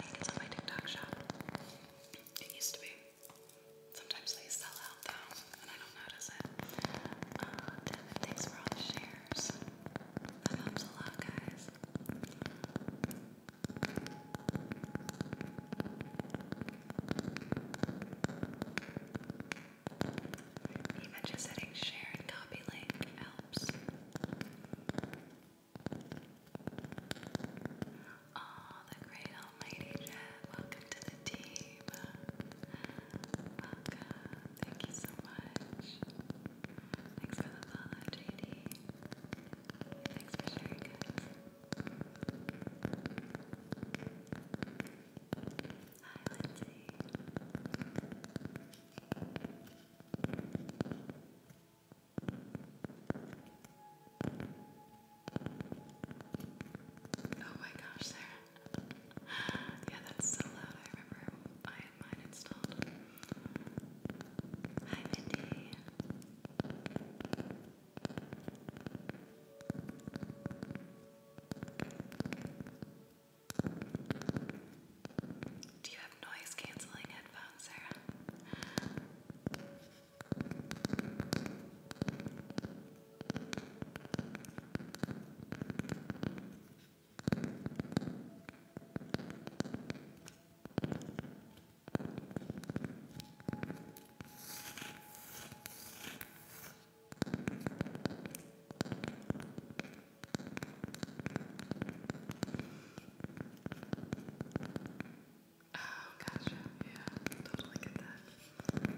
it's on my TikTok shop. It used to be. Sometimes they sell out though, and I don't notice it. Uh, thanks for all the shares. That helps a lot, guys. Even just hitting share and copy helps. Oh, the great almighty Jet, welcome to the team. Thank you so much. Thanks for the follow, JD. Thanks for sharing, guys. Hi, Lindsay. Oh my gosh, Sarah. Yeah, that's so loud. I remember I had mine installed. Hi, Mindy. Do you have noise canceling headphones, Sarah? Oh, gotcha. Yeah, totally get that.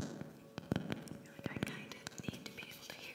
Like, I kind of need to be able to hear.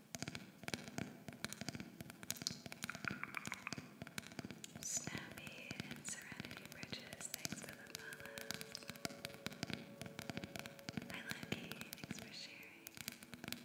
Snappy and Serenity Bridges, thanks for the follow. Hi Lucky, thanks for sharing.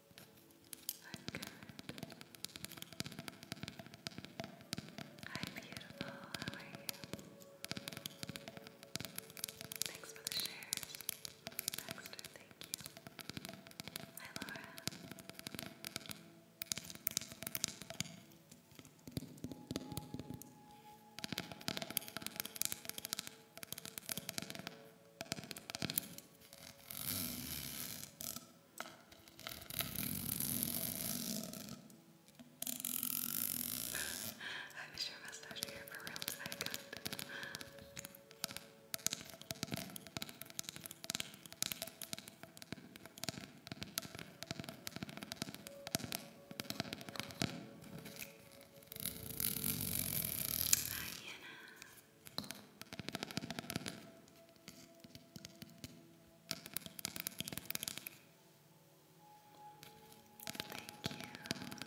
I'm good. Hi, beautiful. How are you? Thanks for the shares. Baxter, thank you. Hi, Laura. Hi, I wish your mustache hair for real today, good. Hi, Anna. Thank you.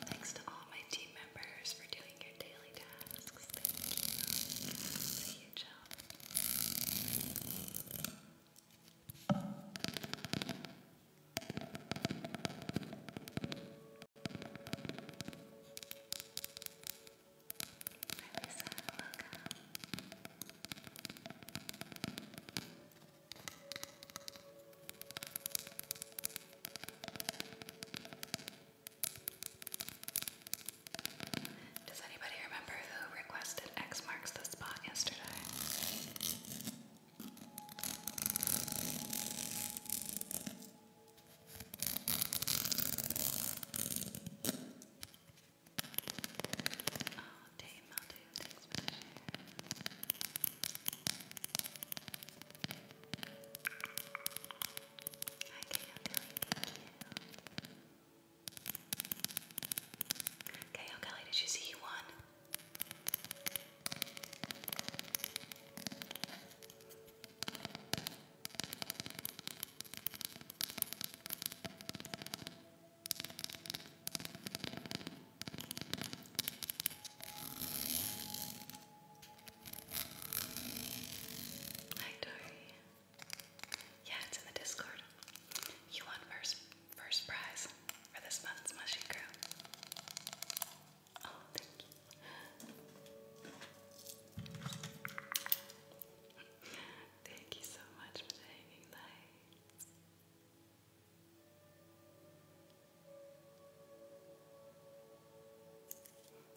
Thanks to all my team members for doing your daily tasks. Thank you. See you, Jill. Thank does anybody remember who requested X marks the spot yesterday? Oh, Dave Maldoon, thanks for the share. Hi, Kayo Kelly, thank you. Kayo Kelly, did you see you won? Hi Dory. Yeah, it's in the Discord. You won first first prize for this month's mushy crew. Oh, thank you. Thank you so much for the hanging lights.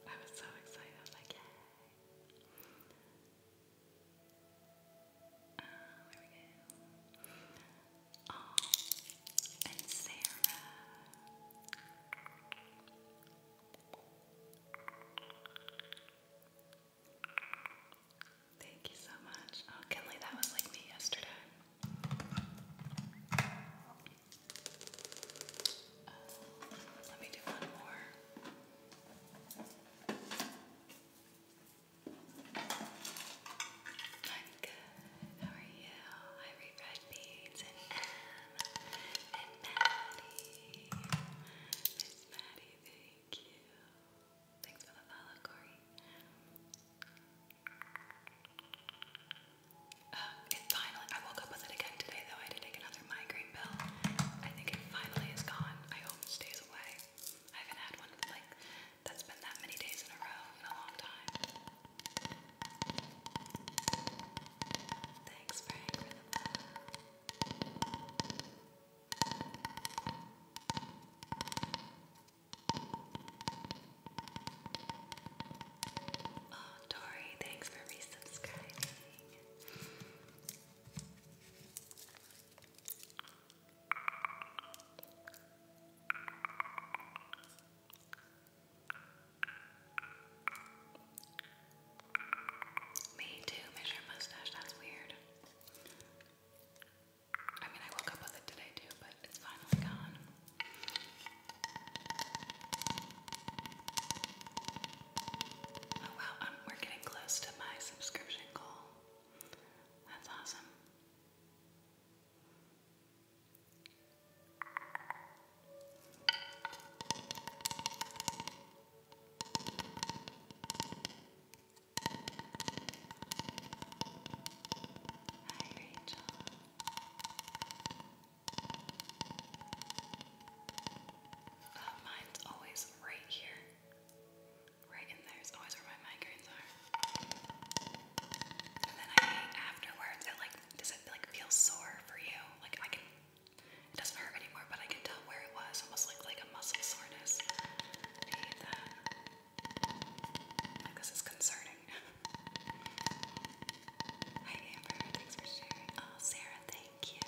I was so excited, like, uh, oh, and Sarah. Thank you so much. Oh, that was like me yesterday. Uh, let me do one more. I'm good. How are you? I read red and Miss Maddie, thank you. Thanks for the follow, Corey. Uh, finally, I woke up with it again today though. I had take another migraine pill. I think it finally is gone. I hope it stays away. I haven't had one like that's been that many days in a row in a long time. Thanks, Frank, Oh, Tori, thanks for resubscribing. Me too, measure mustache, that's weird. I mean, I woke up with it today too, but it's finally gone. Oh wow, we're getting close to my subscription goal. That's awesome. Hi, Rachel. Uh, mine's always right here. Right in there is always where my migraines are. And then afterwards. It like does it like feel sore for you? Like I can it doesn't hurt anymore, but I can tell where it was. Almost like like a muscle soreness. I hate that. Like, this is concerning. Hi Amber, thanks for sharing. Oh Sarah, thank you.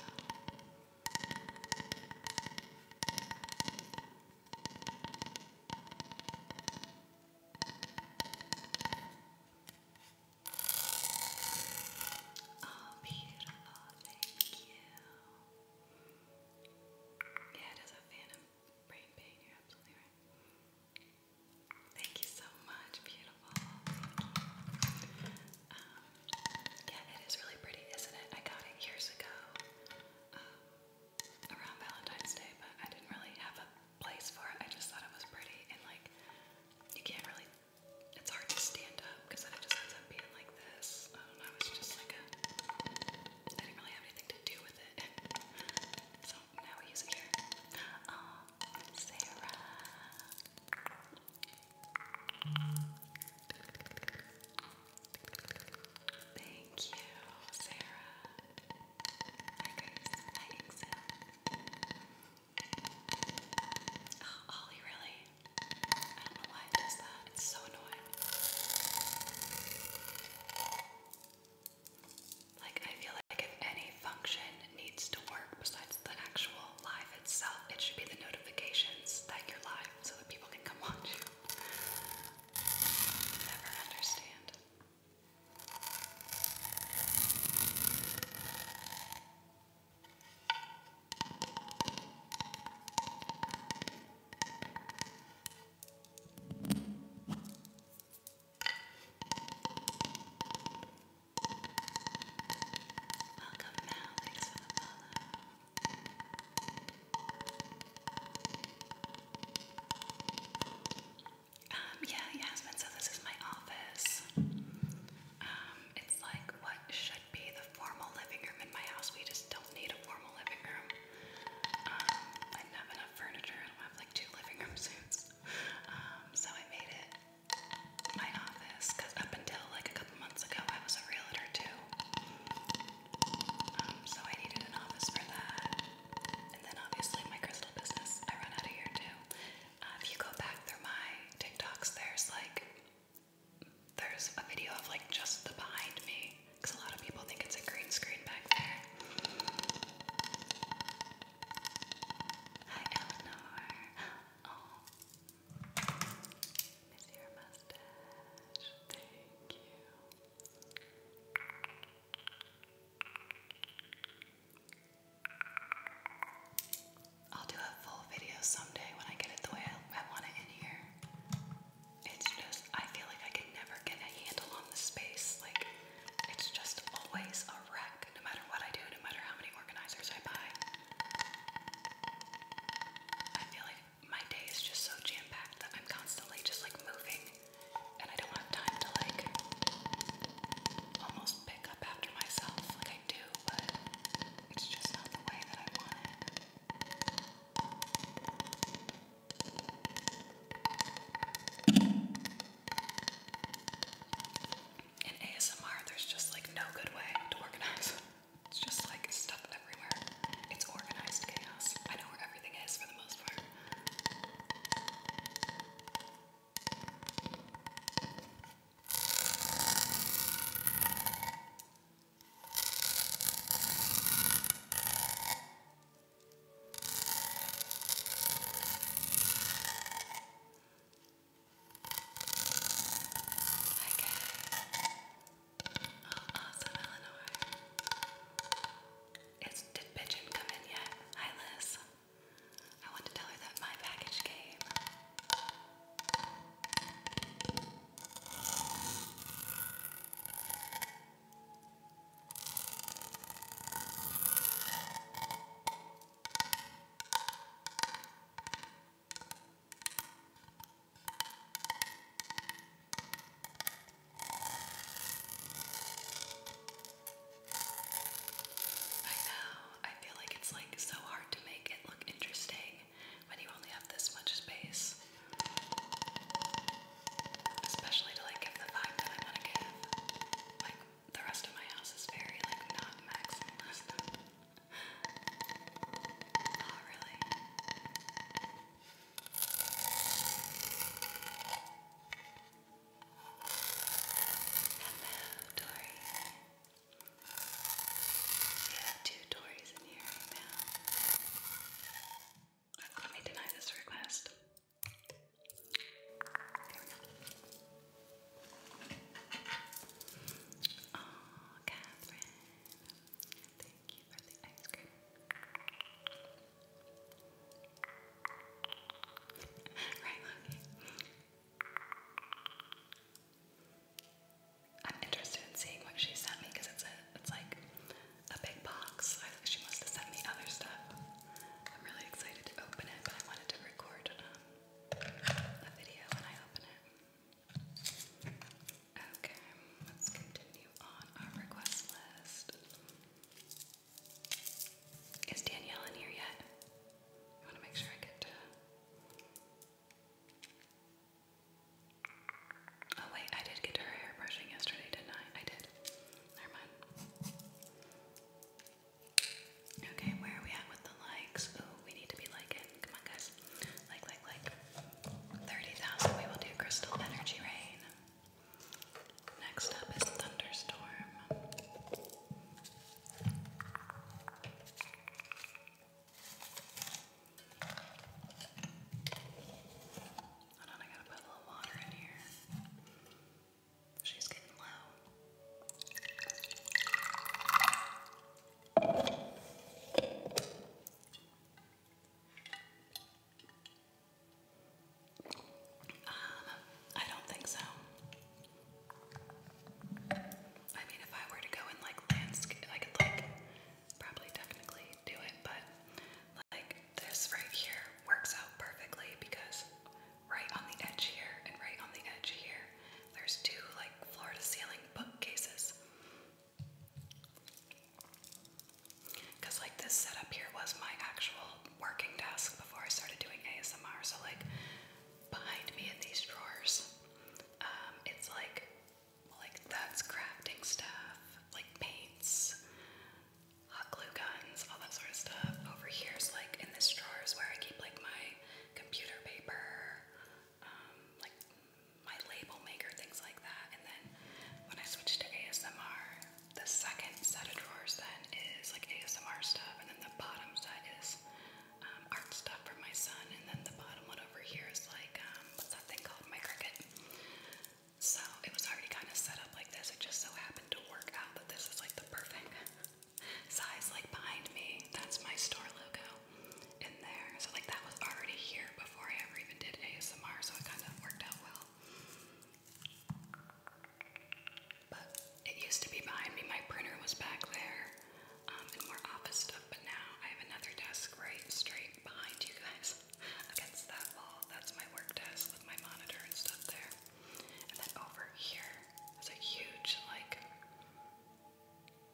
Oh, beautiful. Thank you. Yeah, it is a phantom brain pain. You're absolutely right. Thank you so much. Beautiful. yeah, it is really pretty, isn't it? I got it years ago um, around Valentine's Day, but I didn't really have a place for it. I just thought it was pretty and like you can't really it's hard to stand up because then just ends up being like this. Um, I don't know, it's just like a. I didn't really have anything to do with it. So now we use it here. Sarah. Thank you, Sarah. Hi, Grace. Hi, Exil. Oh, Ollie, really? I don't know why it does that. It's so annoying. Like, I feel like if any function needs to work besides the actual live itself, it should be the notifications that you're live so that people can come watch you. Never understand. Welcome now, thanks for the follow. Um, yeah, Yasmin, so this is my office. Um, it's like what should be the formal living room in my house. We just don't need a formal living room. Um, I don't have enough furniture. I don't have like two living room suits. Um, so I made it my office because up until like a couple months ago, I was a realtor too. Um, so I needed an office for that. And then obviously my crystal business, I run out of here too. Uh, if you go back through my TikToks, there's like there's a video of like just the behind me because a lot of people think it's a green screen back there. I'll do a full video someday when I get it the way I, I want it in here. It's just, I feel like I can never get a handle on the space. Like, it's just always a wreck, no matter what I do, no matter how many organizers I buy. I feel like my day is just so jam packed that I'm constantly just like moving, and I don't have time to like almost pick up after myself in ASMR, there's just like no good way to organize. It's just like stuff everywhere. It's organized chaos. I know where everything is for the most part. Oh, awesome, Eleanor. It's, did Pigeon come in yet? Hi, Liz. I want to tell her that my package came. I know, I feel like it's like so hard to make it look interesting when you only have this much space. Especially to like give the vibe that I want to give. Like the rest of my house is very like not maximalist. Not really. Hello, Dory. We have two Tories in here Let me deny this request. Oh, Catherine. Thank you for the ice cream. right, Loki. I'm interested in seeing what she sent me because it's a it's like a big box. I think she must have sent me other stuff. I'm really excited to open it, but I wanted to record um, a video when I open it. Okay, let's continue on our request list. Is Danielle here yet? I want to make sure I get to Oh wait, I did get her hair brushing yesterday, didn't I? I did. Never mind. Okay, where are we at with the likes? Oh, we need to be liking. Come on, guys. Like, like, like. 30,000, we will do Crystal Energy Rain. Next up is Thunderstorm. Hold on, I gotta put a little water in here. She's getting low. Um, I don't think so. I mean, if I were to go in like landscape, I could like probably technically do it, but like this right here works out perfectly because right on the edge here and right on the edge here, there's two like floor to ceiling bookcases. Because like this setup here was my actual working desk before I started doing ASMR, so like behind me in these drawers, um, it's like like that's crafting stuff, like paints, hot glue guns, all that sort of stuff. Over here is like in this drawers where I keep like my computer paper, um, like my label maker, things like that. And then when I switch to ASMR, the second set of drawers then is like ASMR stuff, and then the bottom set is um, art stuff for my son, and then the bottom one over here is like, um, what's that thing called? My Cricut. So it was already kind of set up like this. It just so happened to work out that this is like the perfect size, like behind me. That's my store logo in there. So, like, that was already here before I ever even did ASMR, so it kind of worked out well. But it used to be behind me. My printer was back there um, more office stuff, but now I have another desk right straight behind you guys against that wall. That's my work desk with my monitor and stuff there. And then over here is a huge, like,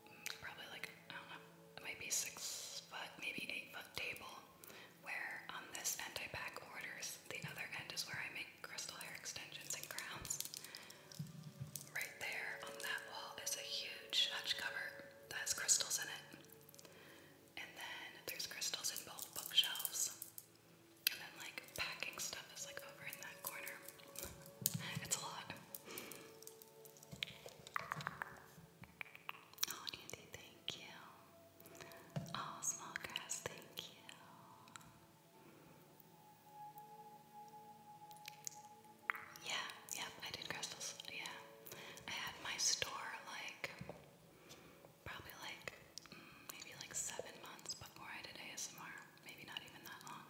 mm, probably like, I don't know, it six foot, maybe eight foot table where on um, this end I pack orders, the other end is where I make crystal hair extensions and crowns. Right there on that wall is a huge hutch cover that has crystals in it. And then there's crystals in both bookshelves. And then, like, packing stuff is like over in that corner. it's a lot. Oh, Andy, thank you. Oh, Small Grass, thank you. Yeah, yep, I did crystals. Yeah. I had my store like probably like mm, maybe like seven months before I did ASMR. Maybe not even that long.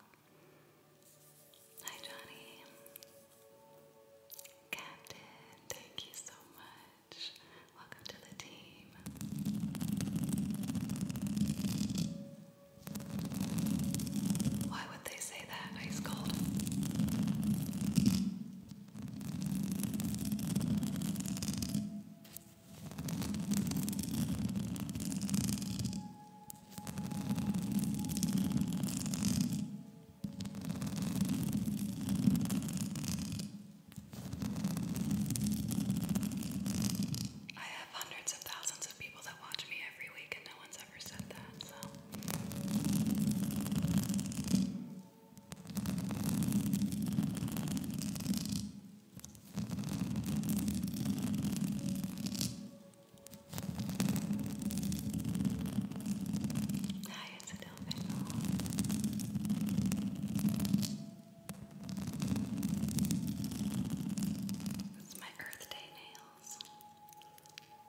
Hi Johnny. Captain, thank you so much. Welcome to the team. Why would they say that? Ice cold. I have hundreds of thousands of people that watch me every week, and no one's ever said that, so. Hi, it's a it's my Earth Day nails.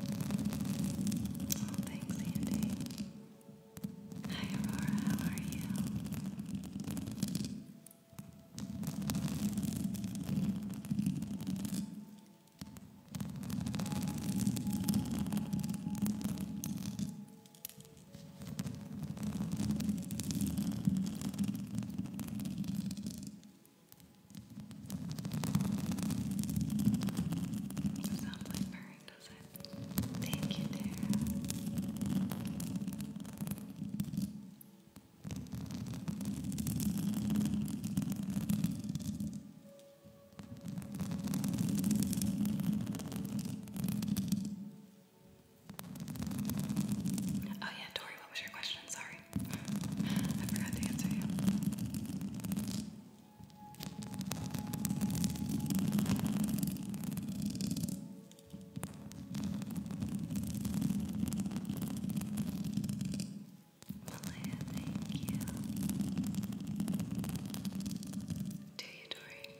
Oh, thanks, Andy. Hi, Aurora, how are you? Doesn't like purring, does it? Thank you, Tara. Oh yeah, Tori, what was your question? Sorry. I forgot to answer you. Malaya, thank you. Do you, Dory?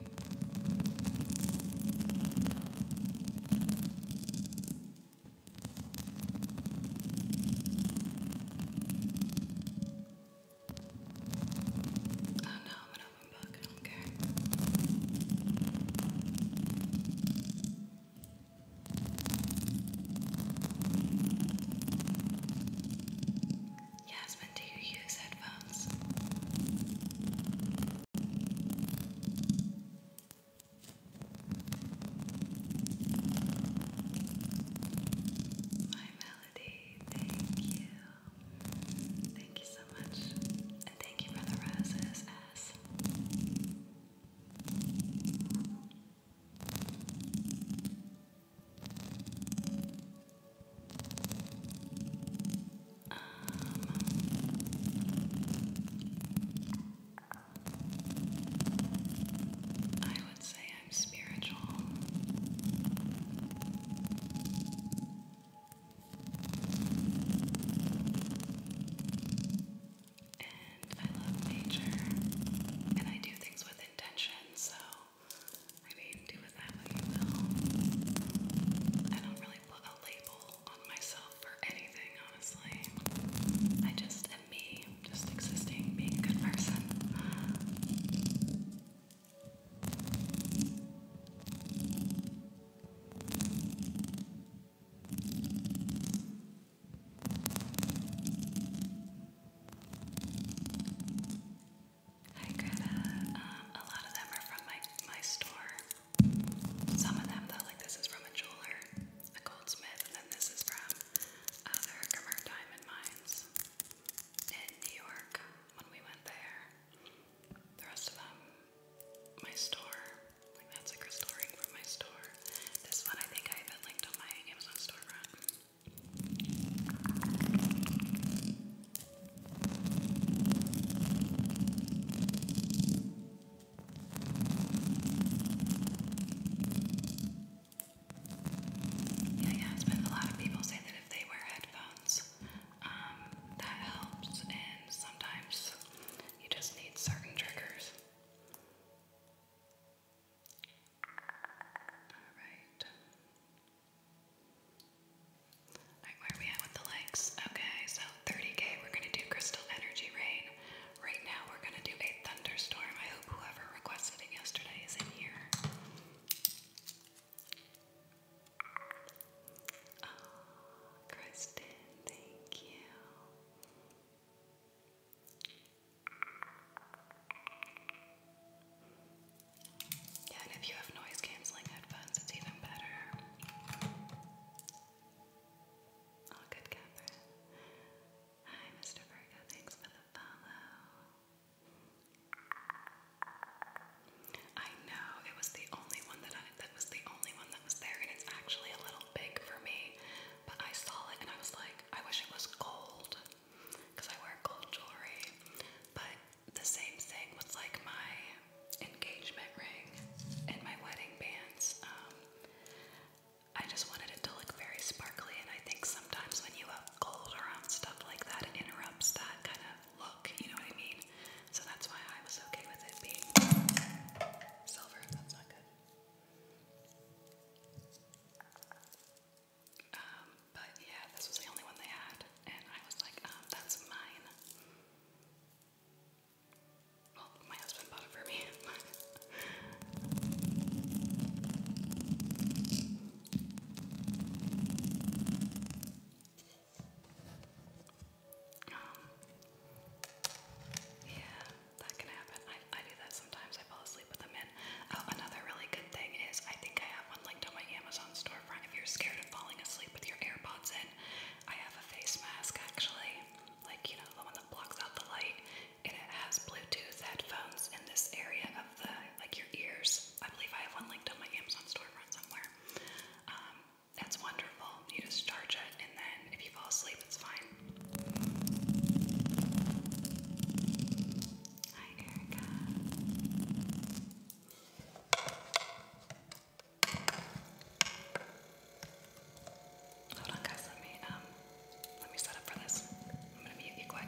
Oh no, I'm an open book, I don't do you use headphones? Hi, Thank you. Thank you so much. And thank you for the roses, Um, would say I'm spiritual. And I love nature. And I do things with intention, so I mean, do with that what you will. I don't really put a label on myself for anything, honestly. I just am me just existing, being a good person. Hi Greta. Uh, a lot of them are from my my store. Some of them though, like this is from a jeweler, a goldsmith, and then this is from other uh, Diamond Mines in New York when we went there. The rest of them, my store. Like that's a crystal ring my store. This one I think I even linked on my Amazon storefront. Yeah, yeah, it a lot of people say that if they wear headphones, um, that helps, and sometimes you just need certain triggers. Alright. Alright, where are we at with the legs? Okay, so 30k, we're gonna do crystal energy rain. Right now, we're gonna do a thunderstorm. I hope whoever requested it yesterday is in here. Kristen, thank you. Yeah, and if you have noise canceling headphones, it's even better. Oh, good, Catherine. Hi, Mr. Virgo. Thanks for the follow. I know it was the only one that I that was the only one that was there, and it's actually a little big for me. But I saw it and I was like, I wish it was gold, because I wear gold jewelry. But the same thing was like my engagement ring and my wedding bands. Um, I just wanted it to look very sparkly, and I think sometimes when you gold around stuff like that. It interrupts that kind of look, you know what I mean? So that's why I was okay with it being silver. That's not good. Um, but yeah, this was the only one they had, and I was like, um, that's mine. Well, my husband bought it for me. Um, yeah, that can happen. I, I do that sometimes. I fall asleep with them in. Oh, another really good thing is I think I have one linked on my Amazon storefront. If you're scared of falling asleep with your AirPods in, I have a face mask actually. Like, you know, the one that blocks out the light. And it has Bluetooth headphones in this area of the, like, your ears. I believe I have one linked on my Amazon storefront somewhere. that's um, wonderful. You just charge it, and then if you fall asleep, it's fine. Hi, Erica. Hold on, guys. Let me um, let me set up for this. I'm gonna mute you quick.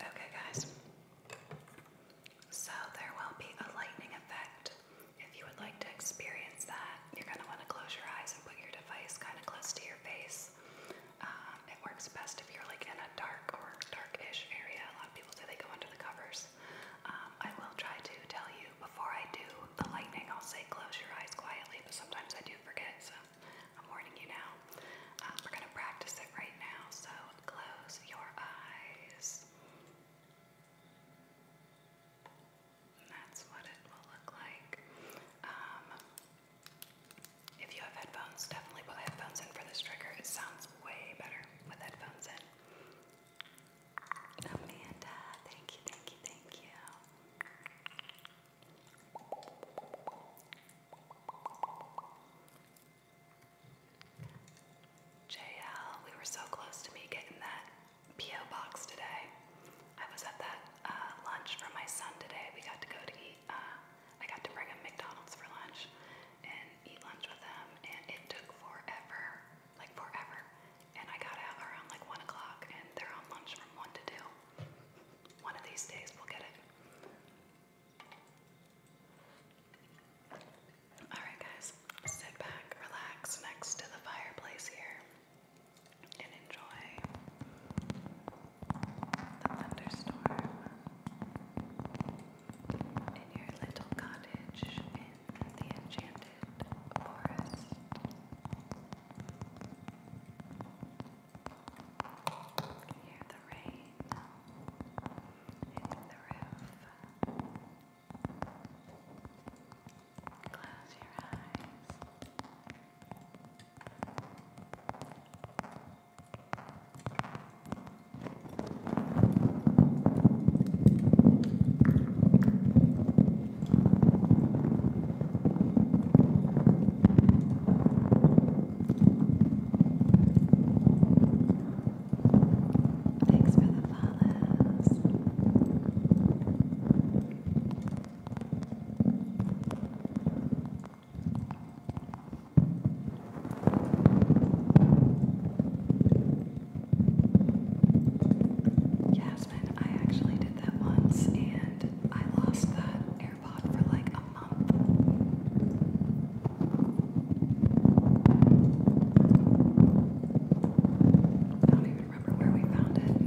Okay, guys. So there will be a lightning effect. If you would like to experience that, you're going to want to close your eyes and put your device kind of close to your face. Uh, it works best if you're like in a dark or darkish area. A lot of people say they go under the covers. Um, I will try to tell you before I do the lightning. I'll say close your eyes quietly, but sometimes I do forget, so I'm warning you now. Um, we're gonna practice it right now, so close your eyes that's what it will look like. Um, if you have headphones, definitely put headphones in for this trigger. It sounds way better with headphones in. Amanda, thank you, thank you, thank you. JL, we were so close to me getting that PO box today. I was at that uh, lunch for my son today. We got to go to eat. Uh, I got to bring him McDonald's for lunch and eat lunch with him, and it took forever, like forever. And I got out around like one o'clock, and they're on lunch from one to two. One of these days we'll get it. All right, guys, sit back, relax next to the fireplace here and enjoy the thunderstorm in your little cottage in the enchanted forest. Hear the rain hitting the roof. Close your eyes. Thanks for the follows. Jasmine, I actually did that once and I lost that AirPod for like a month. I don't even remember where we found it.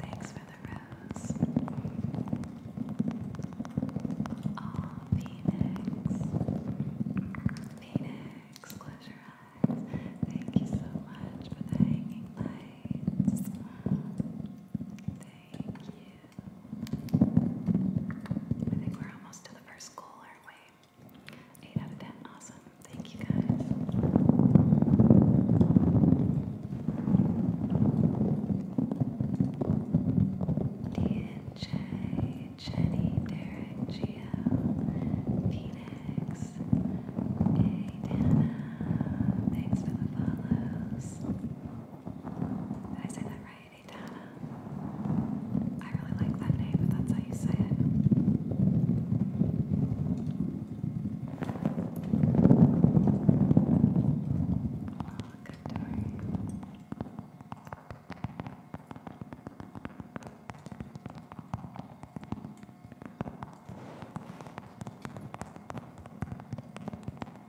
Thanks for the rose. Oh, Phoenix. Phoenix, close your eyes. Thank you so much for the hanging lights. Thank you. I think we're almost to the first goal, aren't we? 8 out of Awesome. Thank you guys. DNJ, Jenny, Derek, Gio, Phoenix, Hey Dana, thanks for the follows. Did I say that right? Adana. I really like that name, if that's how you say it. Oh, good door.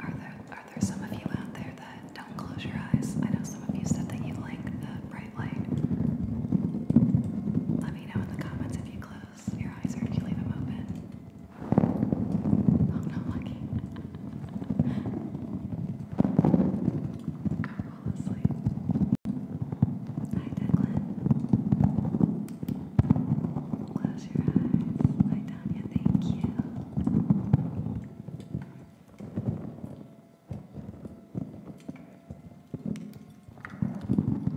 Are there are there some of you out there that don't close your eyes? I know some of you said that you like the bright light. Let me know in the comments if you close your eyes or if you leave them open. Oh no, lucky. I fall asleep. Hi Declan. Close your eyes. Hi Tanya, thank you.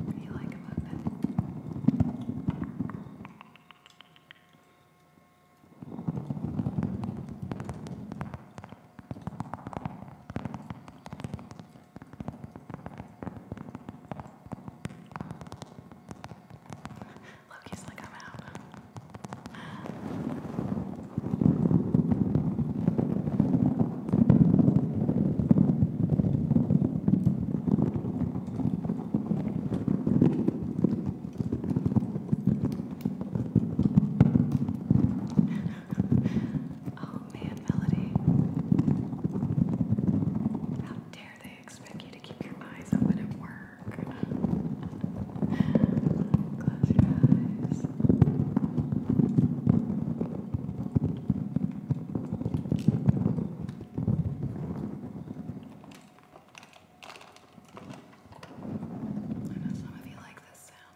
What do you like about that? Loki's like, I'm out. oh man, Melody. How dare I expect you to keep your eyes open at work. Close your eyes. I know some of you like this sound.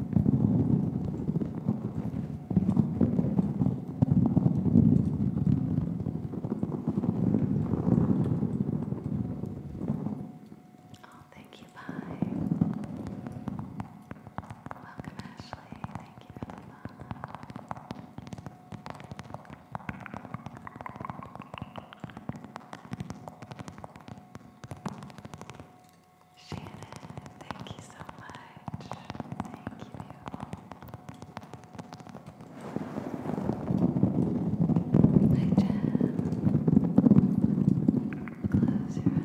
Oh, thank you, bye. Welcome, Ashley. Thank you for the follow. Shannon, thank you so much. Thank you, beautiful. Hi, Close your eyes.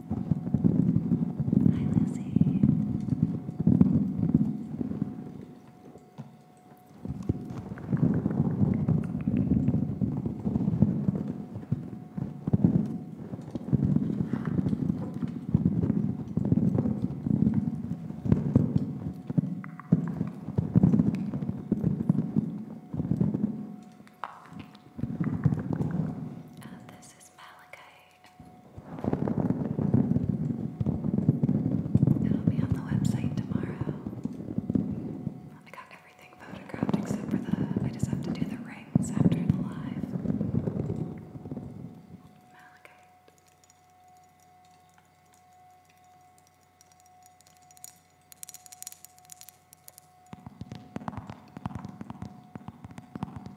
Hi, Lizzie. And this is Malachi. It'll be on the website tomorrow. I got everything photographed except for the. I just have to do the rings after the live. Malachite. Oh,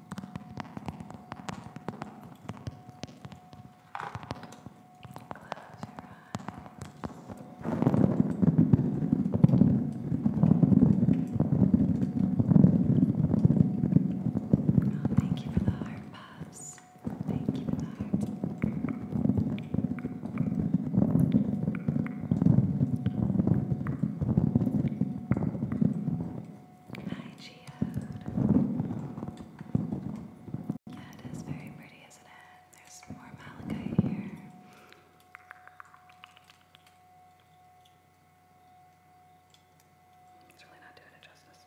thank you for the heart puffs. Thank you for the heart. Thank you Hi, very pretty, isn't it? There's more malachite here. It's really not doing it justice.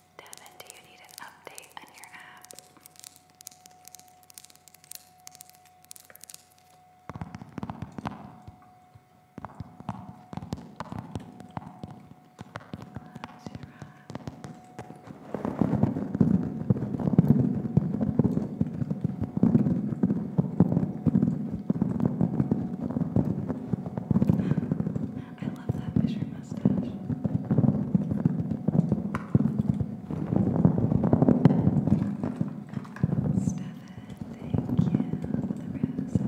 Devin, do you need an update on your app? Close I love that fisher mustache. Stefan, thank you for the roses. the rose.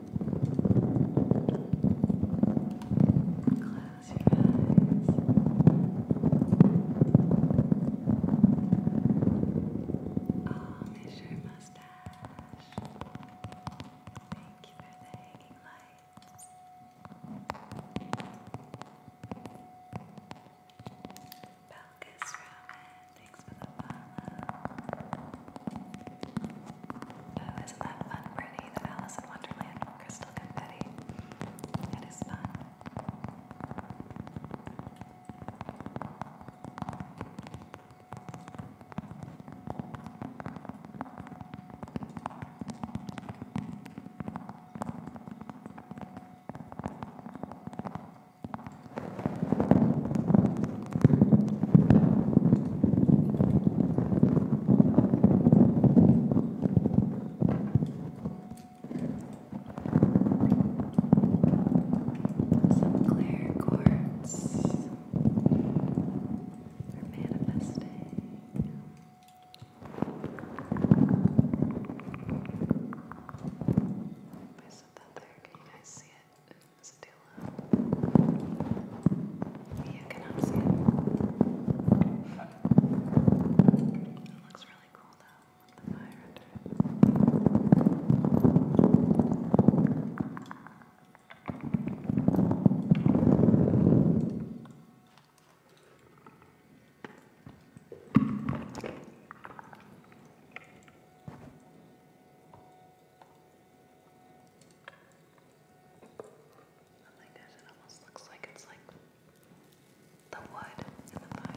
Close your eyes. Oh, there's your mustache. Thank you for the hanging lights. Belkis Ramen. Thanks for the follow. Oh, isn't that fun, Brittany? The Alice in Wonderland crystal confetti. It is fun. Thank some clear quartz for manifesting. Where's the feather? Can you guys see it? It's too low. it. looks really cool though, the fire under it like this, it almost looks like it's like the wood in the fire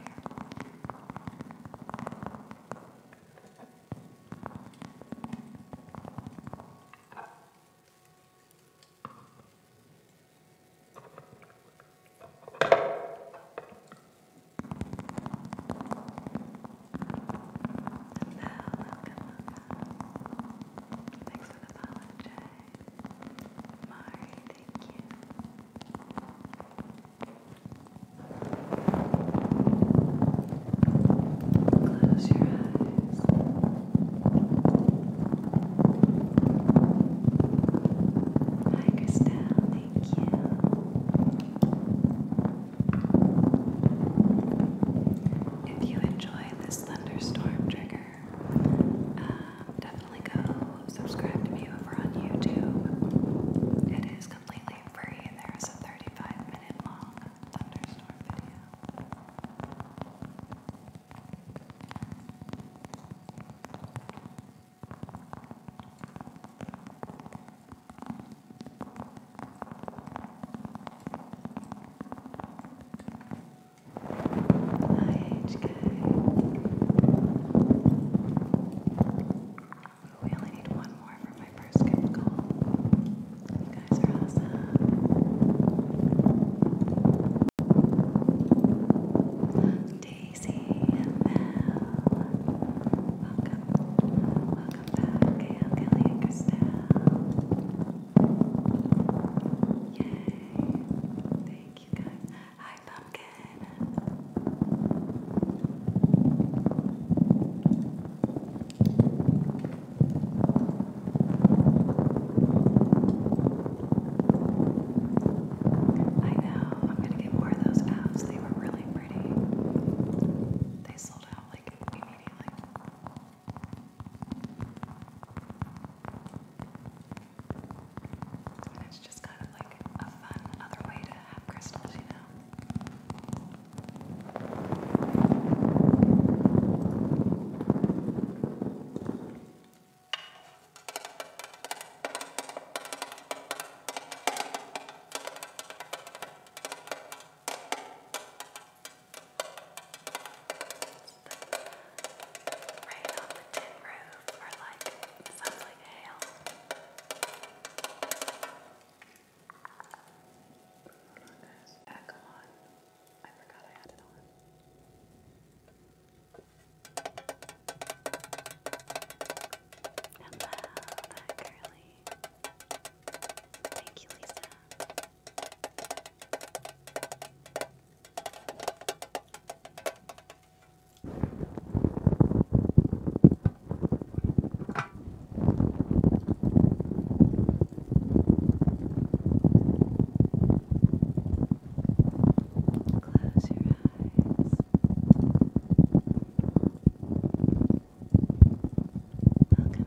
welcome. Thanks for the follow, Jay. Mari, thank you. Close your eyes. Hi, Christelle, thank you. If you enjoy this thunderstorm trigger, um, definitely go subscribe to me over on YouTube. It is completely free, and there is a 35 minute long thunderstorm video. HK. We only need one more for my first gift You guys are awesome. Welcome. Welcome welcome back, Gail Kelly and Christelle. Yay! Thank you guys. Hi, Pumpkin. I know. I'm gonna get more of those apps. They were really pretty. They sold out like it's just kind of like a fun other way to have crystals, you know. Right on the tin roof, or like, it sounds like hail. Hold on guys, back on. I forgot I had it on. Hello, that girly. Thank you, Lisa. Close your eyes. Welcome, Kinley. Alright,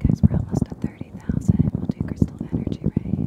guys, we're almost at 30,000. We'll do crystal energy rain.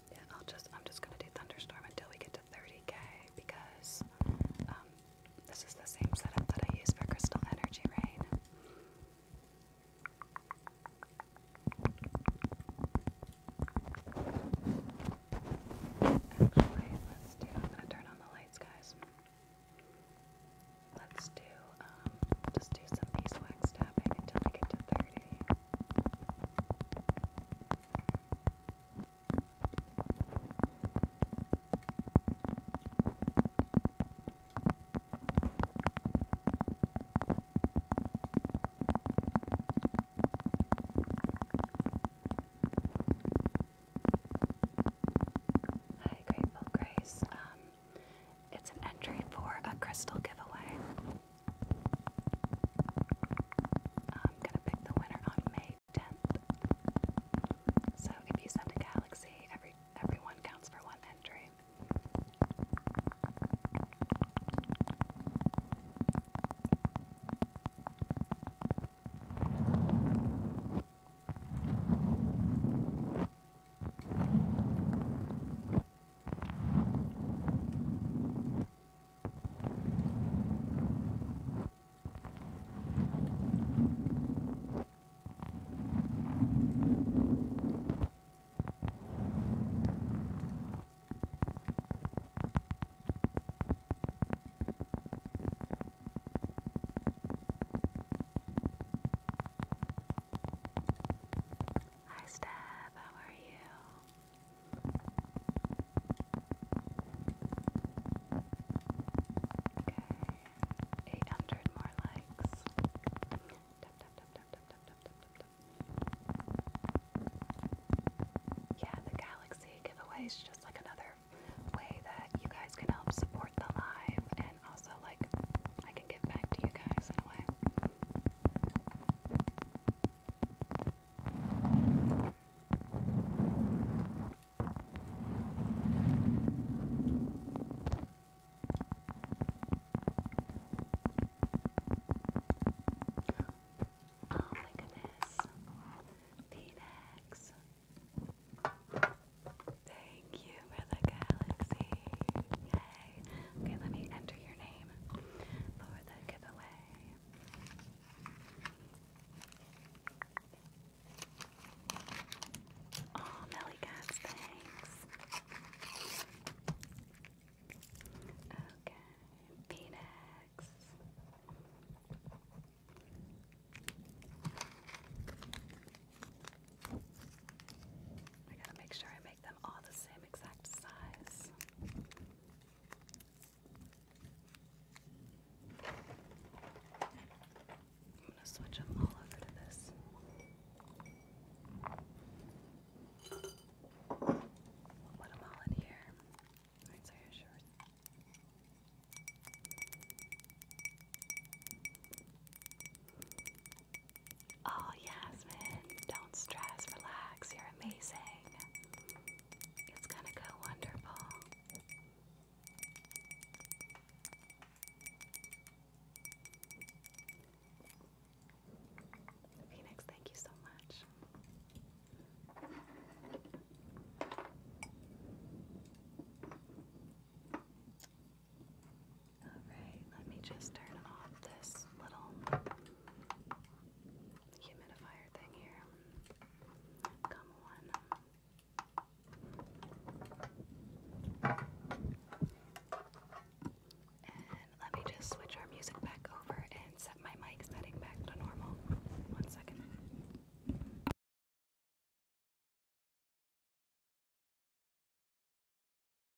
I'll just I'm just gonna do thunderstorm until we get to 30k because um, this is the same setup that I use for crystal energy rain. Actually, let's do. I'm gonna turn on the lights, guys. Let's do. Um, just do some beeswax tapping until we get to 30. Hi, Grateful Grace. Um, it's an entry for a crystal giveaway. I'm gonna pick the winner on May 10th. So if you send a galaxy, every everyone counts for one entry. Hi Steph, how are you? Okay, 800 more likes. Yeah, the Galaxy giveaway just like another way that you guys can help support the live and also like I can give back to you guys in a way. Oh my goodness. Phoenix. Thank you for the galaxy. Okay, let me enter your name for the Oh, Melly Cats, thanks. Okay, Phoenix. I gotta make sure I make make them all the same exact size. I'm going to switch them all over to this. put them all in here. Oh, Yasmin, don't stress, relax, you're amazing. It's going to go wonderful. Phoenix, thank you so much. Alright, let me just turn off this little humidifier thing here. Come on. And let me just switch our music back over and set my mic setting back to normal. One second.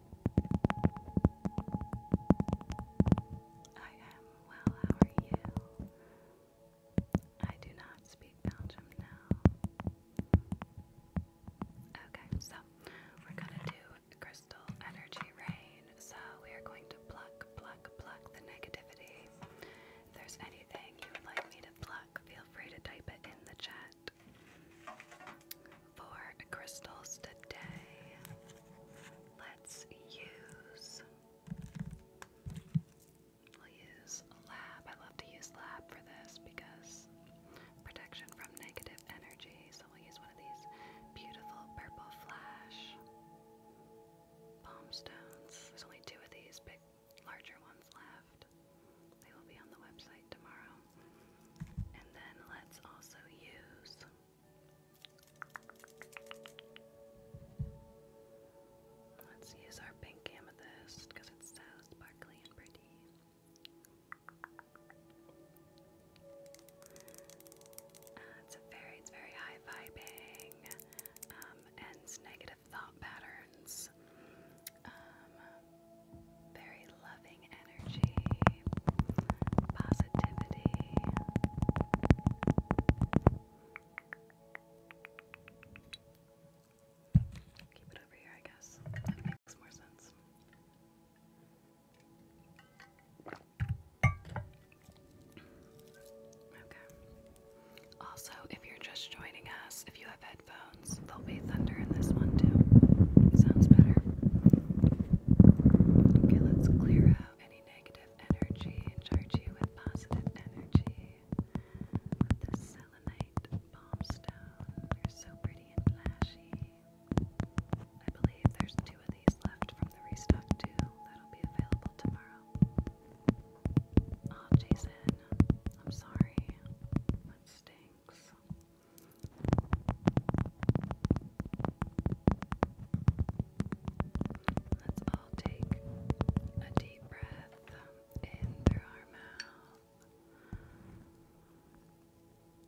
I am well, how are you? I do not speak Belgium now. Okay, so we're gonna do crystal energy rain. So we are going to pluck, pluck, pluck the negativity. If there's anything you would like me to pluck, feel free to type it in the chat for crystals today, let's use. We'll use lab. I love to use lab for this because protection from negative energy. So we'll use one of these beautiful purple flash palm stones. There's only two of these big, larger ones left. They will be on the website tomorrow. And then let's also use Let's use our pink amethyst because it's so sparkly and pretty. Uh, it's very, it's very high vibing, ends um, negative thought patterns, um, very loving energy, positivity. Keep it over here, I guess. That makes more sense. Okay. Also, if you're just joining us, if you have headphones, there'll be thunder in this one too. Sounds better. Okay, let's clear out any negative energy and charge you with positive energy. the selenite palm stone. They're so pretty and flashy. I believe there's two of these left from the restock too. That'll be available tomorrow. Oh, Jason, I'm sorry. That stinks. Let's all take a deep breath in through our mouth.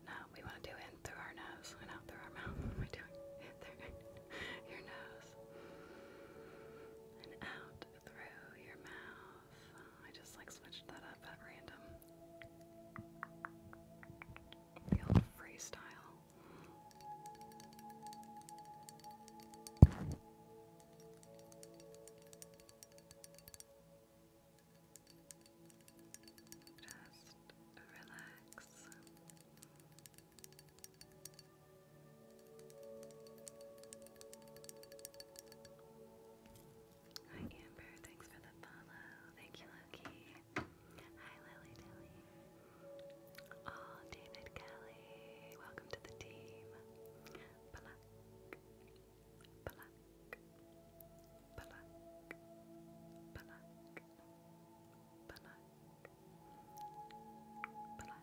No, we want to do in through our nose and out through our mouth. What am I doing? In through your nose and out through your mouth. I just like switched that up at random. The freestyle. Just relax. Hi Amber, thanks for the follow. Thank you, Loki. Hi, Lily Oh, David Kelly. Welcome to the team. Pluck, pluck, pluck, pluck, pluck, pluck,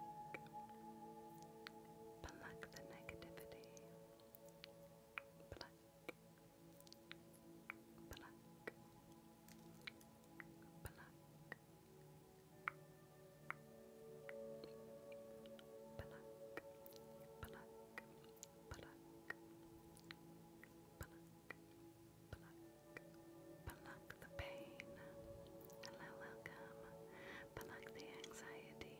pluck the negativity black, black. Black, black, black, black, black, the pain. Hello, welcome. Black the anxiety.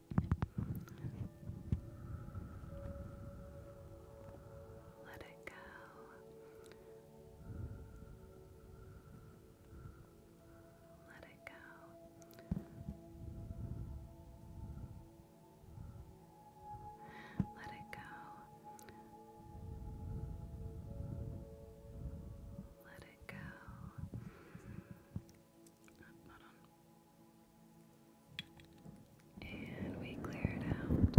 Let it go. Let it go. Let it go. Let it go. Hold on. And we clear it out.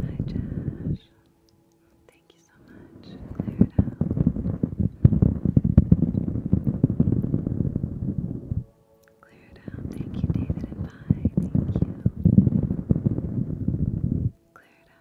Hi, Josh. Thank you so much. Clear it out. Clear it out. Thank you, David and Bye. Thank you. Clear it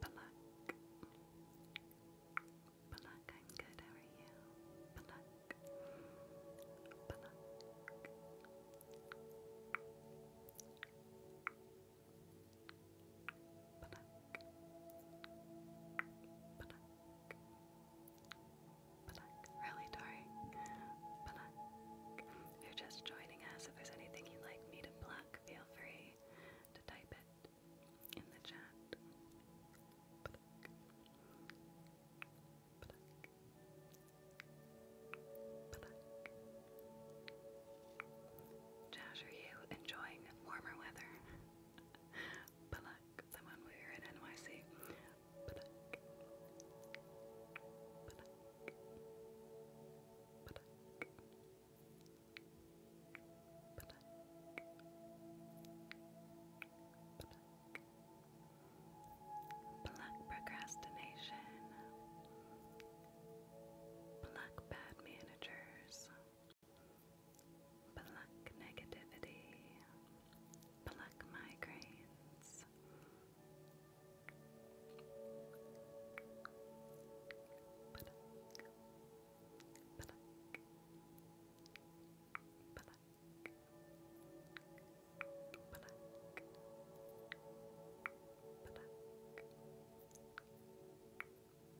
Balak. Balak, I'm good, how are you? Balak. Balak. Balak. Balak. Really, Tori? Balak. If you're just joining us, if there's anything you'd like me to pluck, feel free to type it in the chat. Pluck. Pluck. Pluck. Josh, are you enjoying warmer weather? Pluck. Someone we were in NYC. Pluck. Pluck. Pluck. Pluck. Pluck procrastination. Pluck bad managers. Pluck negativity. Pluck migraines. Black.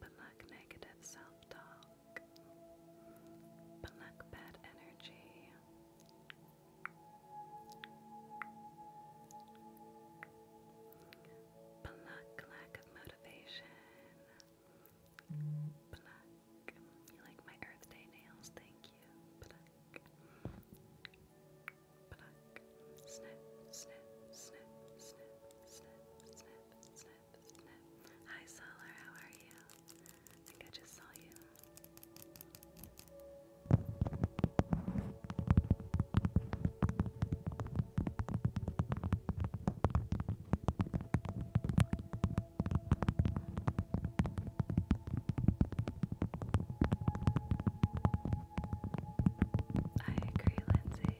Black. negative self-talk. Black bad energy. Black lack of you like my Earth Day nails? Thank you. Hi, Solar, how are you? I think I just saw you. I agree, Lindsay.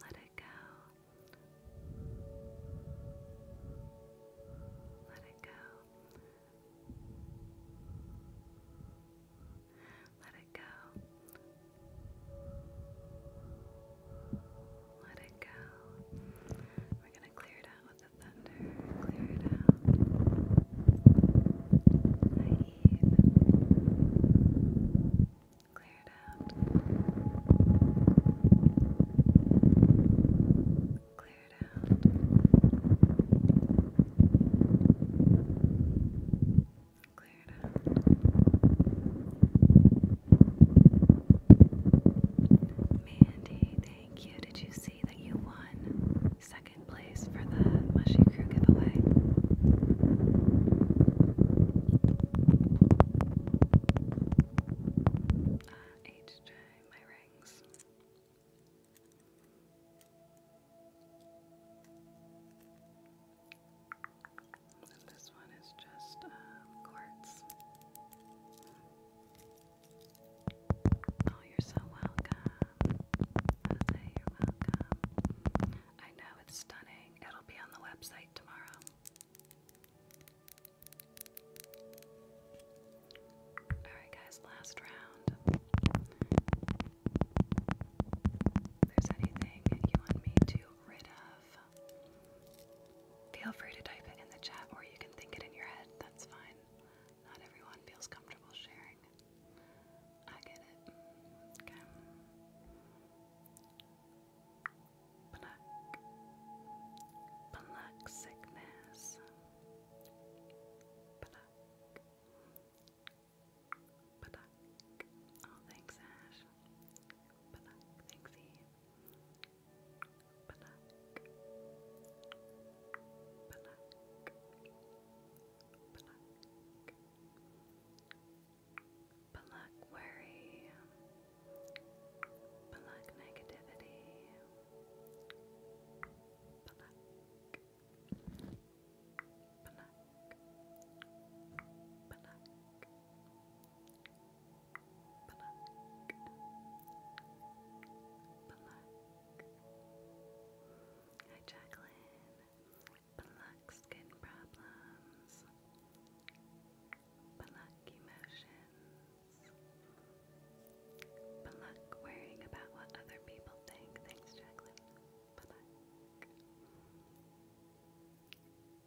Let it go. Let it go. Let it go. Let it go. We're going to clear it out with the thunder. Clear it out. Hi, Eve. Clear it out clear it out. Mandy, thank you. Did you see that you won second place for the Mushy Crew giveaway? Uh, H. J my rings. And this one is just uh, quartz. Oh, you're so welcome. Jose, you're welcome. I know it's stunning. It'll be on the website tomorrow. Alright, guys, last round. If there's anything you want me to rid of, feel free to type it in the chat or you can think it in your head. That's fine. Not everyone feels comfortable sharing. I get it. Okay black, black sickness, black, black. Oh, thanks, Ash. Black, thanks, Eve. Black, black, black. Black worry, Black negativity. Black. Black. Black. Black. Black. Hi Jacqueline. Black skin problems. Pluck emotions. Pluck worrying about what other people think. Thanks, Jacqueline. Pluck.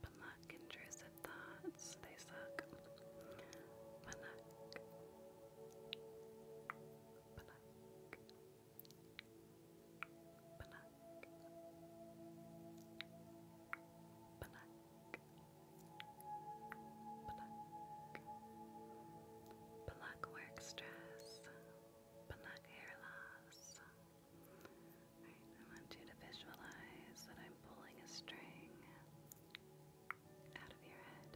Pluck intrusive thoughts. They suck. Pluck. Pluck. Pluck. Pluck. Pluck. work stress. Pluck hair loss. I want you to visualize that I'm pulling a string out of your head.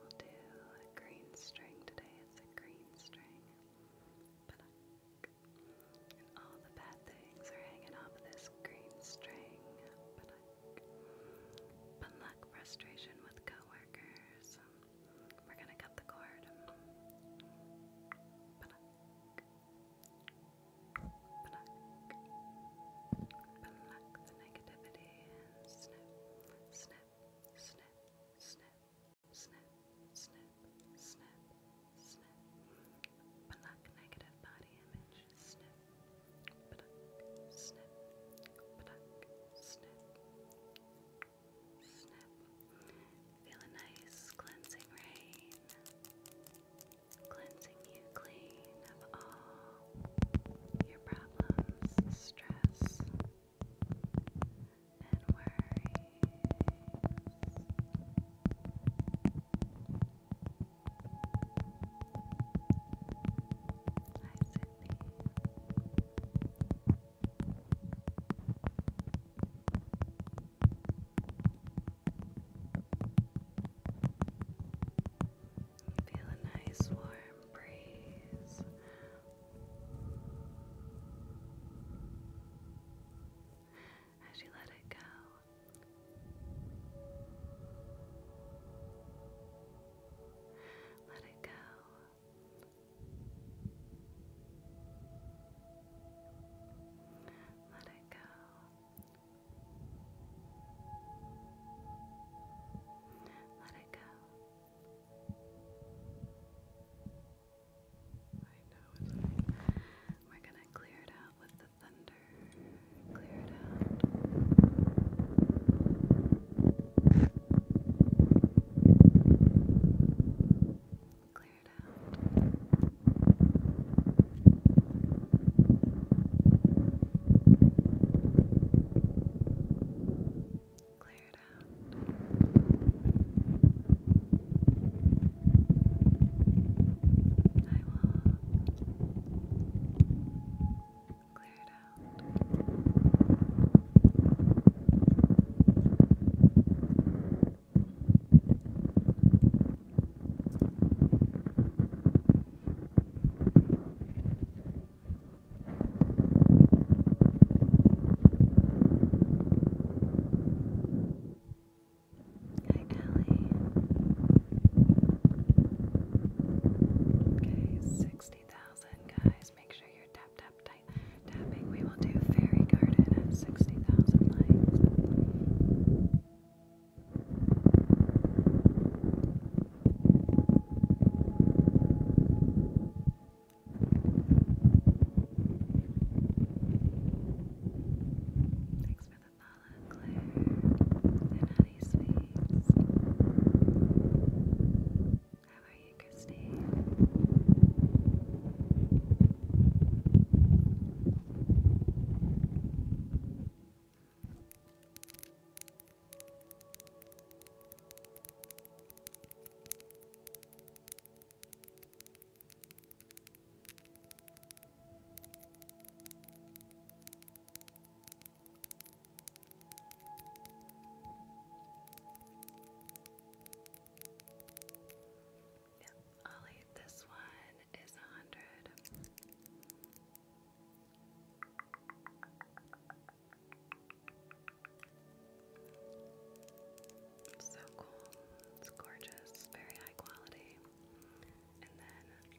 We'll do a green string today. It's a green string. And all the bad things are hanging off this green string. Banuk. Banuk frustration with coworkers. We're gonna cut the cord. Banuk. Banuk. Banuk the negativity and snip, snip, snip, snip, snip, snip, snip snip, Feel a nice cleansing rain, cleansing you clean of all your problems, stress, and worries. You feel a nice warm breeze. As you let it go, let it go. Let it go. Let it go. I know We're gonna clear it out with the thunder, clear it out. Clear it out. Clear it out. I will clear it out. Good. Hi, Allie. Okay, 60,000, guys. Make sure you're tap, tap, tight, tapping. We will do Fairy Garden at 60,000 likes. Thanks for the Lala and Honey Sweets. How are you, Christine? Yep, i this one is a hundred. So cool. It's gorgeous, very high quality. And then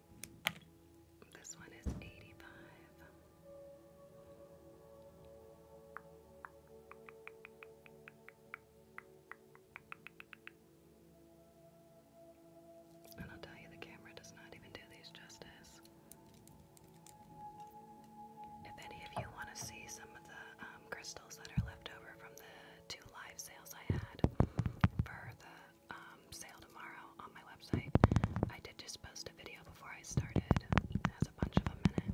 this one is 85. And I'll tell you, the camera does not even do these justice. If any of you want to see some of the um, crystals that are left over from the two live sales I had for the um, sale tomorrow on my website. I did just post a video before I started. has a bunch of them in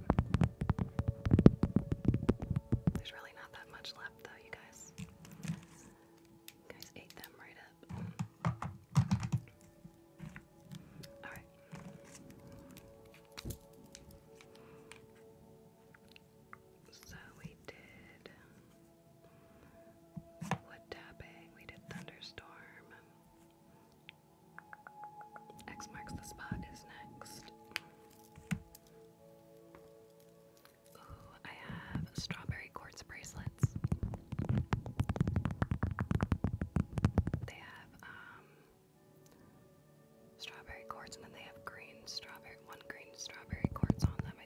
There's really not that much left though, you guys. You guys ate them right up. Alright. So we did Wood tapping. We did thunderstorm. X marks the spot is next. I have strawberry quartz bracelets. They have um strawberry quartz and then they have green strawberry one green strawberry quartz on them,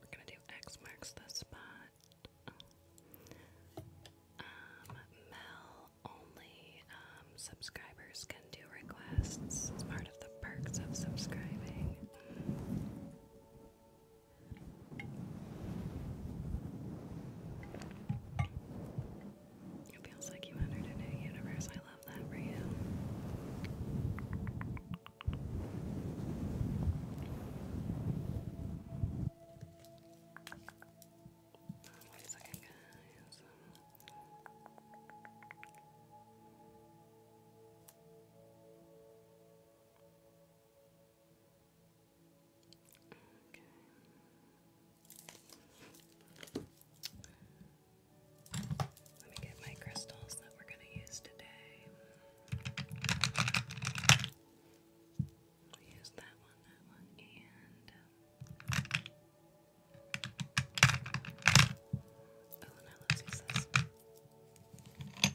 We're gonna do X marks the spot. Um, Mel only um, subscribers can do requests. It's part of the perks of subscribing. It feels like you entered a new universe. I love that for you. Um, wait Let me get my crystals that we're going to use today. We use that one, that one, and um, oh, now use this. Oh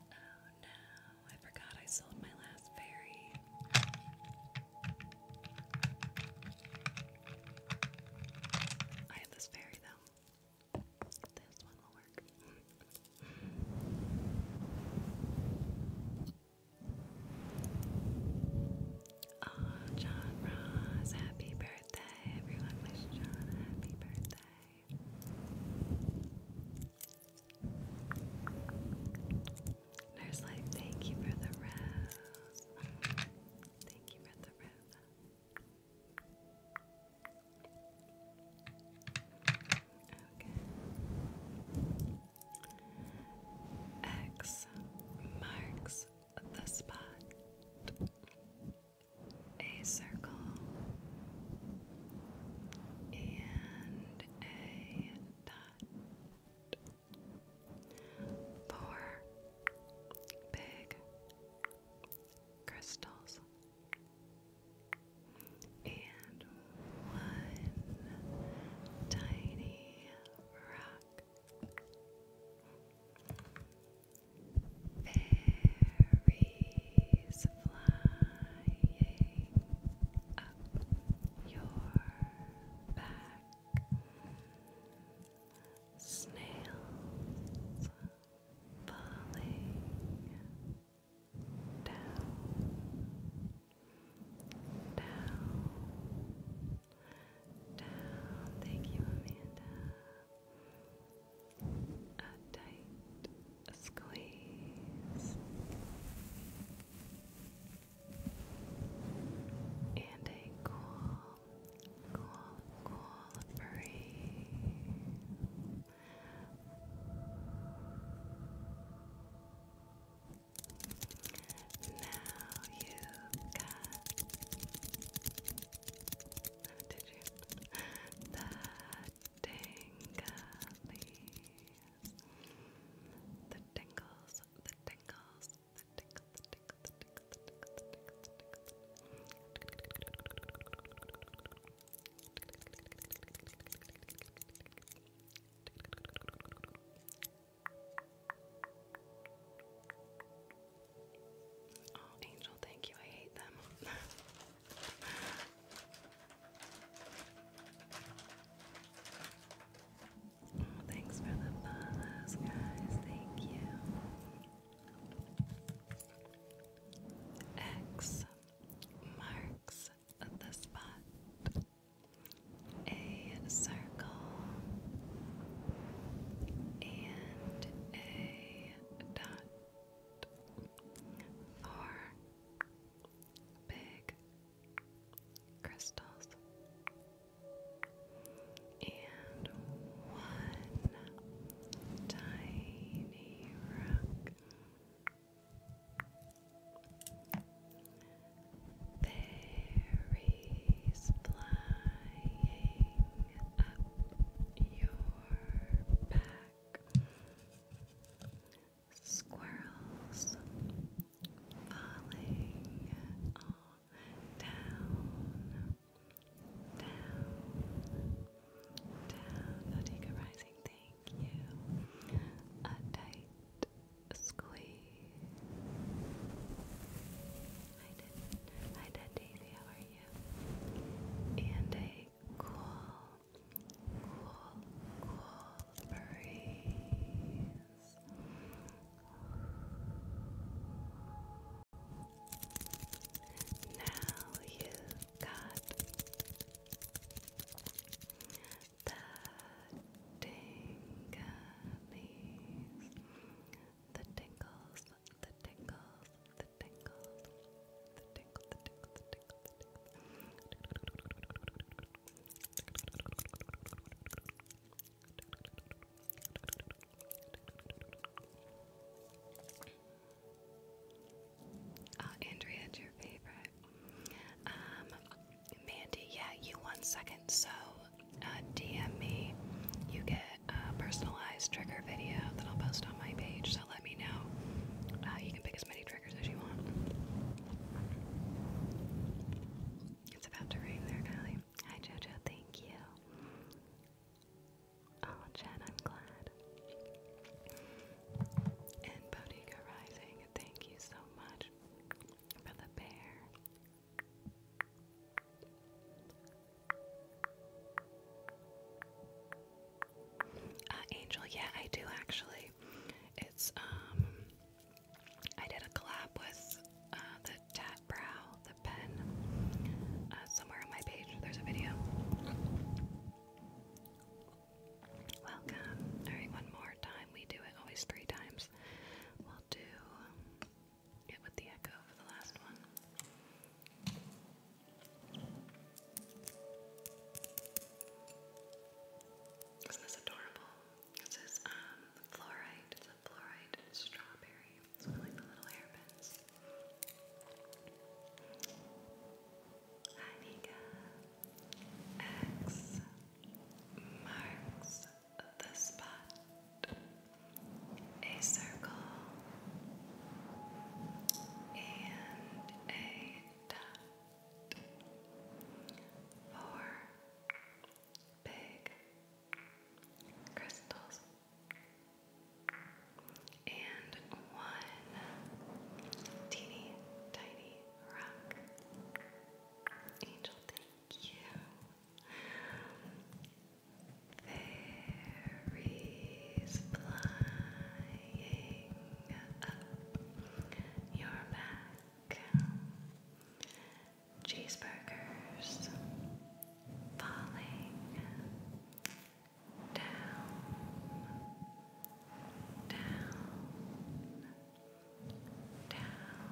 no, I forgot I sold my last fairy. I have this fairy though. This one will work. oh, John Ross, happy birthday. Everyone wish John happy birthday. Nurse Life, thank you for the rose. Thank you X marks the spot. A circle and a dot. Four big crystals and one tiny rock. Fairies flying up your back snails falling down, down, down. Thank you, Amanda. A tight squeeze and a cool, cool, cool breeze. Now you got. did you? The tinglies. The tingles, the tingles, Oh, Angel, thank you. I hate them. Thanks for the follows, guys. Thank you. X marks the spot. A circle and a dot are big crystals and one tiny rock. Berries flying up your back. Squirrels falling down, down, down. Bottega Rising, thank you. A tight squeeze. Hi, Hi, Daisy, how are you? And a cool, cool, cool breeze. Now you've got the tingles, the tingles, the tingles, the tingles, the tinkle, the tinkle, the tinkle, the tinkle. Uh, Andrea's your favorite. Um, Mandy, yeah, you one second. So, uh, DM me. You get a personalized trigger video that I'll post on my page. So let me know. Uh, you can pick as many triggers as you want. It's about to rain there, Kylie. Hi Jojo, thank you. Oh, Jen, I'm glad. And Bodega Rising, thank you so much for the bear. Uh, Angel, yeah, I do actually. It's, um, I did a collab with uh, the to tap brow the pen. Uh, somewhere on my page, there's a video. Welcome. All right, one more time. We do it always three times. We'll do it with the echo for the last one. Isn't this adorable? It says um, fluorite fluorite strawberry. It's one of like the little hairpins. X marks the spot. A circle and a dot. Four big crystals and one teeny tiny rock. Angel, thank you. Fairies flying up your back cheeseburgers falling down, down, down, down,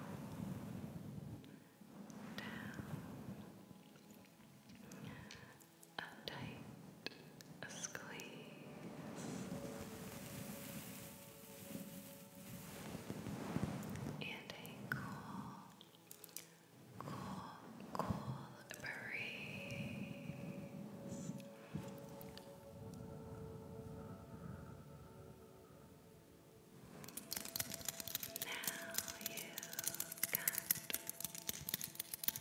a tight squeeze and a cool cool, cool breeze. Now you got the tingleys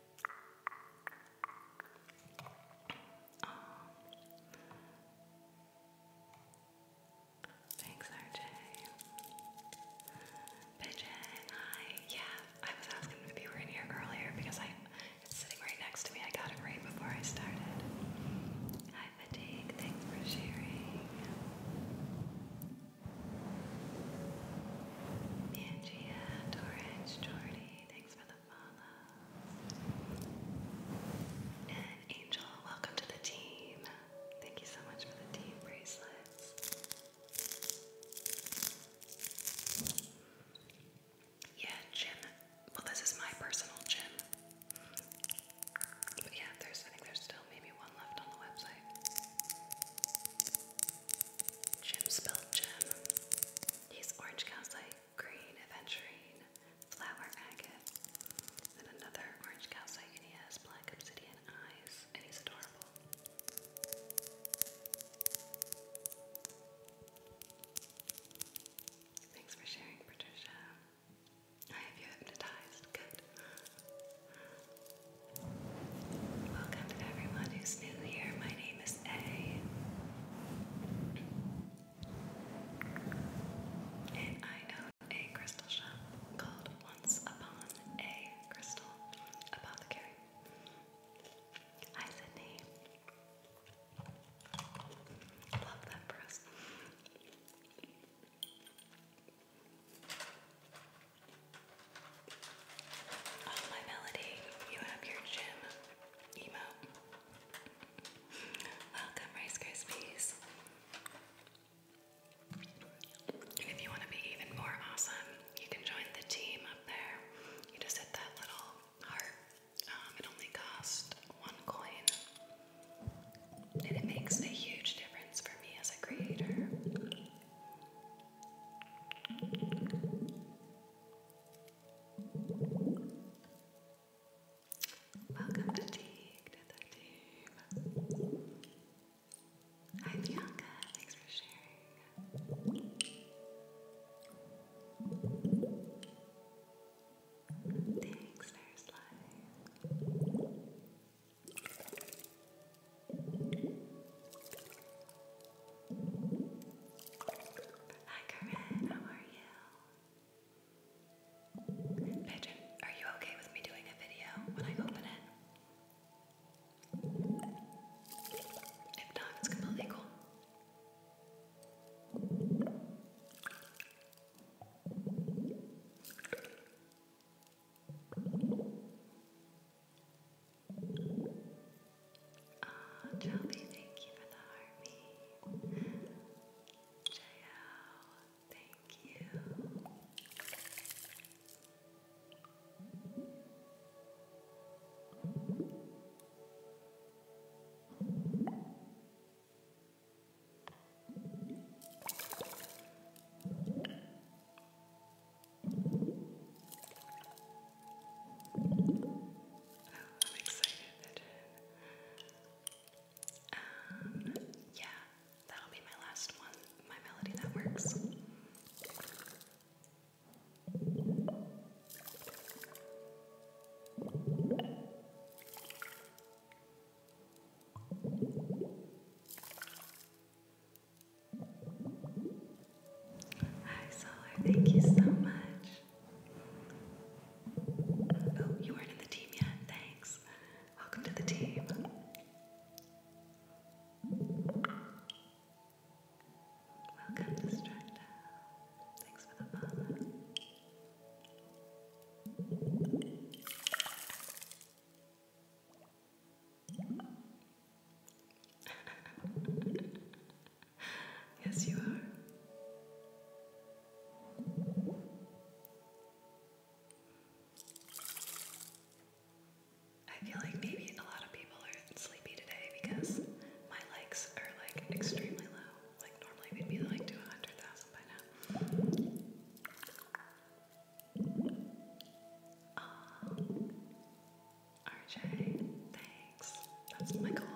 Um, thanks, RJ. Pigeon, hi. Yeah, I was asking if you were in here earlier because I it's sitting right next to me. I got it right before I started. Hi, Fatigue. Thanks for sharing. Mangia, Torrance, Jordy. Thanks for the Angel, welcome to the team. Thank you so much for the team bracelets. Yeah, gym. Well, this is my personal gym. yeah, there's still maybe one left on the website. Jim spelled Jim. He's Orange County green aventurine, flower agate, and another orange calcite, and he has black obsidian eyes, and he's adorable. Thanks for sharing, Patricia. I have you hypnotized. Good. Welcome to everyone who's new here. My name is A. And I own a crystal shop called Once Upon a Crystal Apothecary. Hi, Sydney. Love that for us. Oh, my melody, you have your gym emote. Welcome, Rice Krispies. if you want to be even more awesome, you can join the team up there. You just hit that little heart. Um, it only costs one coin, and it makes a huge difference for me as a creator. Welcome to Teague, to the Hi Bianca, thanks for sharing. Thanks, First Life. Hi, Corinne. How are you? Pigeon, are you okay with me doing a video when I open it? If not, it's completely cool. Hi, uh, thank you for the army. JL, thank you. I'm excited. Um, yeah, that'll be my last one, my melody that works. Hi Solar, thank you so much. Oh, you weren't in the team yet. Thanks. Welcome to the team. Welcome, Distracta. Thanks for the follow. yes, you are. I feel like maybe a lot of people are sleepy today because my likes are like extremely low. Like normally we like to 100,000 by now. Um, RJ, thanks. That's my goal.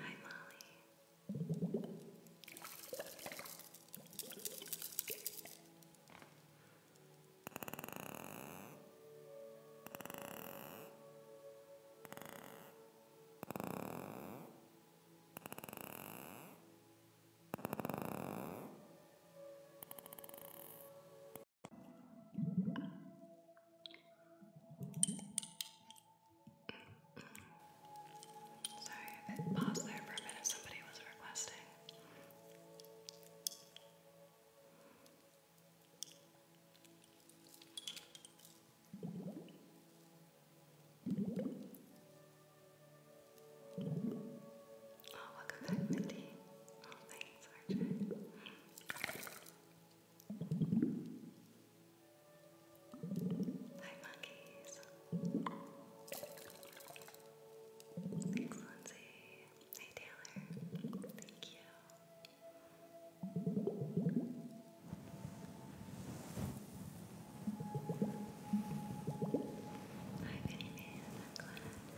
Hi, Molly. Sorry if paused there for a minute, somebody was requesting. Oh, welcome back, Mindy. Oh, Hi, monkeys. Thanks, Lindsay. Hey, Taylor. Thank you. Hi, Vinny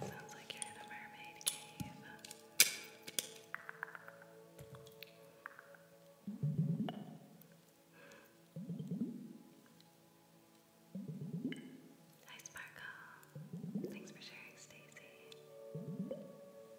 Sounds like you're in a mermaid cave. Hi Sparkle. Thanks for sharing, Stacy.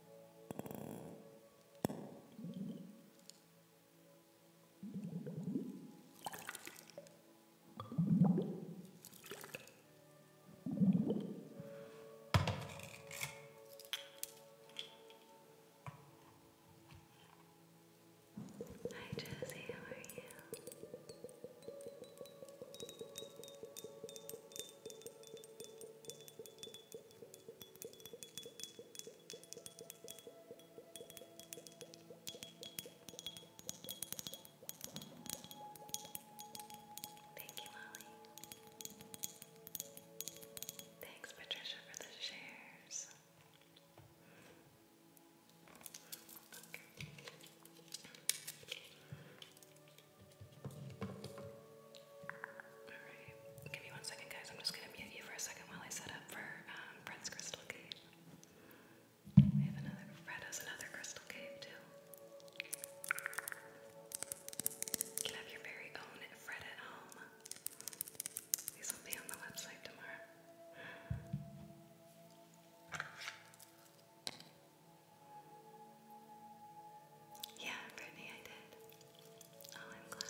Hi Josie, how are you? Thank you, Molly. Thanks, Patricia, for the shares. Okay give me one second, guys. I'm just gonna mute you for a second while I set up for um, Fred's crystal cave. We have another, Fred has another crystal cave too. You have your very own Fred at home. These will be on the website tomorrow. Yeah, Brittany, I did. Oh, I'm glad.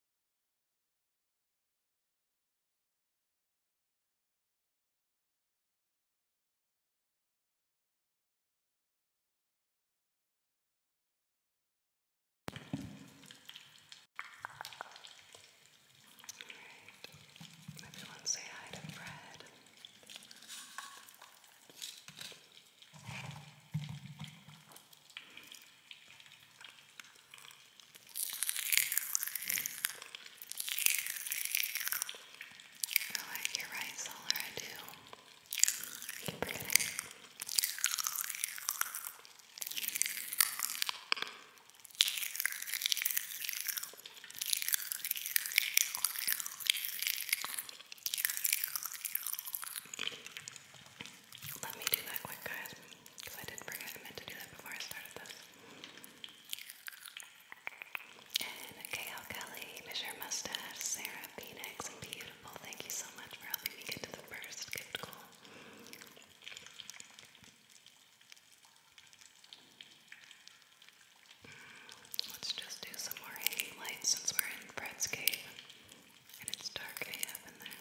Right. Everyone say hi to Fred. Oh, like you're right, Solar, I do. Let me do that quick, guys. Because I did forget I meant to do that before I started this. And KL Kelly, Measure Mustache, Sarah, Phoenix, and Beautiful, thank you so much for helping me get to the first gift goal. Let's just do some more hanging lights since we're in Fred's cave and it's dark AF in there.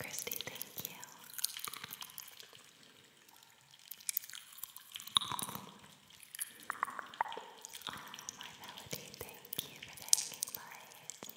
Christy, thank you. Oh, my melody, thank you for the hanging light.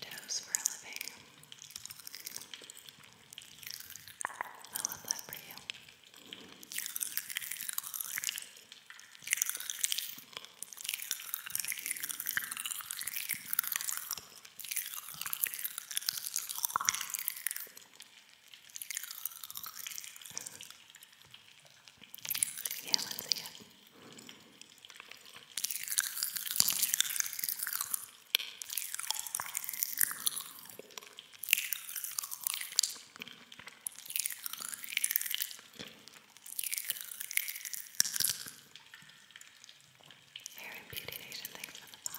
toes for a living. I love that for you. yeah, let's see it. Hair and Beauty Nation, thanks for the follow.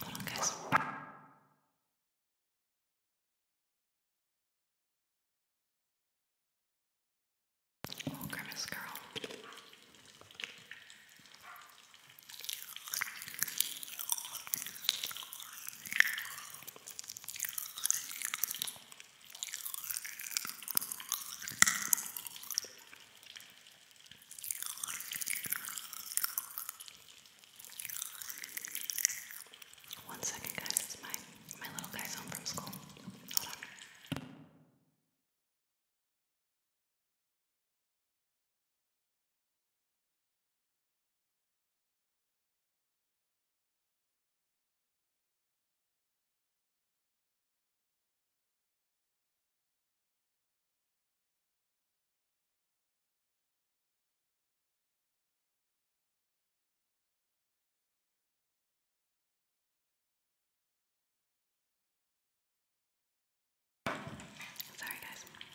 Hold on, guys. Oh, Grimace Girl. One second, guys. My my little guy's home from school. Hold on. Sorry, guys.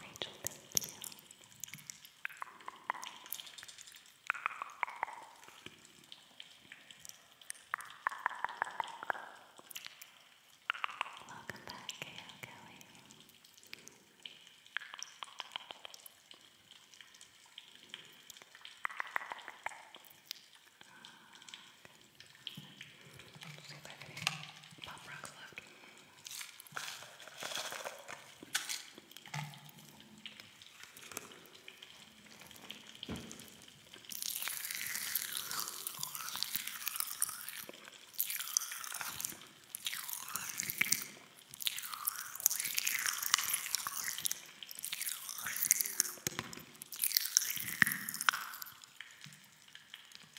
Rachel, thank you. Welcome back, K.O. Kelly. Oh, see if I have any pop rocks left.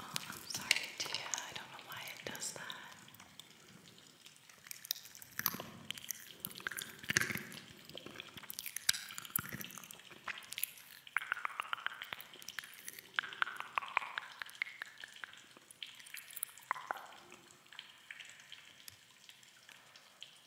Oh, I'm sorry, dear. I don't know why it does that.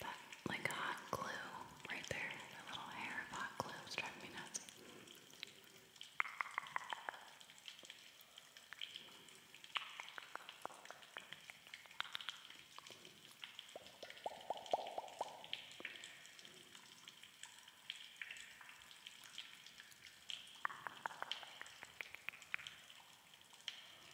That like hot glue right there. That little hair of hot glue is driving me nuts.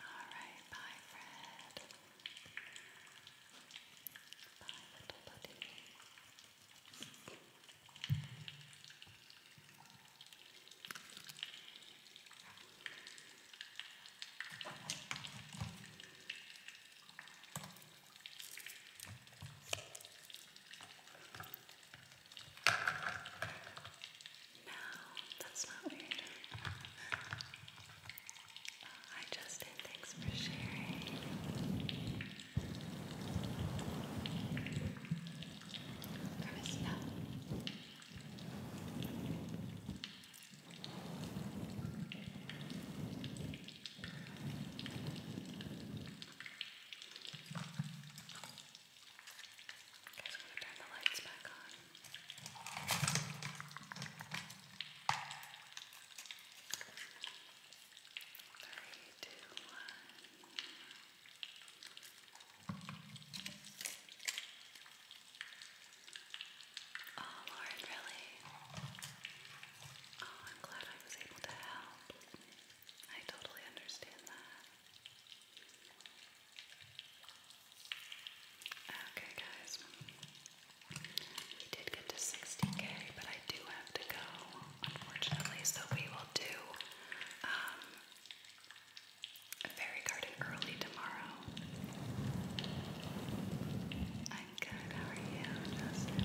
All right, bye, Fred. Bye, little buddy. No, that's not weird. Hi, Justin. Thanks for sharing. I missed that guys want to turn the lights back on? Three, two, one. Oh, Lauren, really? Oh, I'm glad I was able to help. I totally understand that. Okay, guys. We did get to 60k, but I do have to go, unfortunately, so we will do um, a fairy garden early tomorrow. I'm good, how are you, Justin?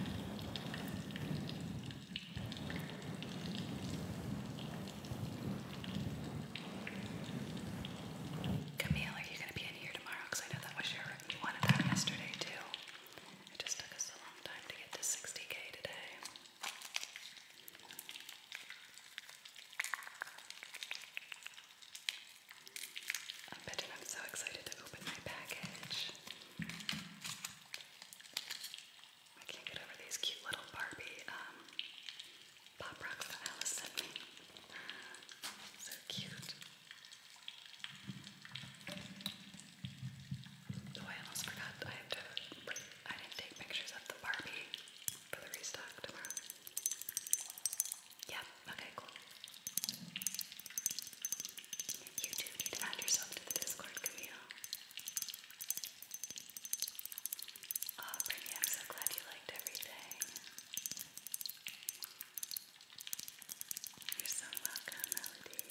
Camille, are you going to be in here tomorrow? Because I know that was your, you wanted that yesterday too. It just took us a long time to get to 60k today. I bet I'm so excited to open my package. I can't get over these cute little Barbie um, pop rocks that Alice sent me. So cute. Oh, I almost forgot. I have to. I didn't take pictures of the Barbie for the restock tomorrow. Yeah. Okay. Cool. You do need to add yourself to the Discord, Camille. Oh, Brittany, I'm so glad you liked everything. You're so welcome, Melody.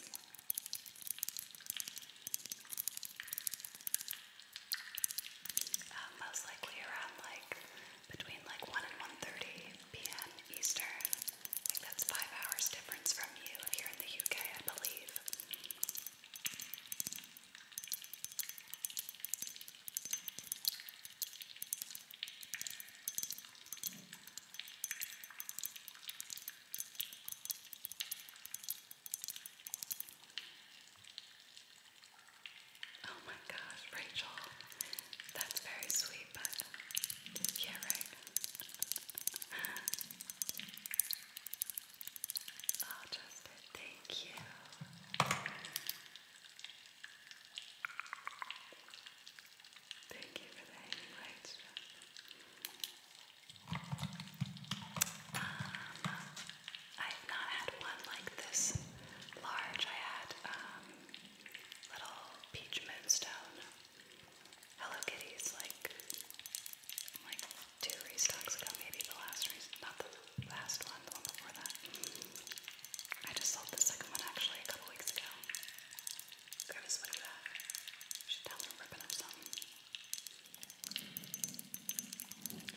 Uh, most likely around like between like 1 and 1.30 p.m. Eastern. I that's five hours difference from you if you're in the UK, I believe. Oh my gosh, Rachel, that's very sweet, but yeah, right. Oh, Justin, thank you. Thank you for the hanging um, I've not had one like this large. I had um, little peach moonstone Hello Kitty's like like two restocks ago, maybe the last not the last one, the one before that. I just sold the second one actually a couple weeks ago. Gravis, what ah, is that? She's down there ripping up some.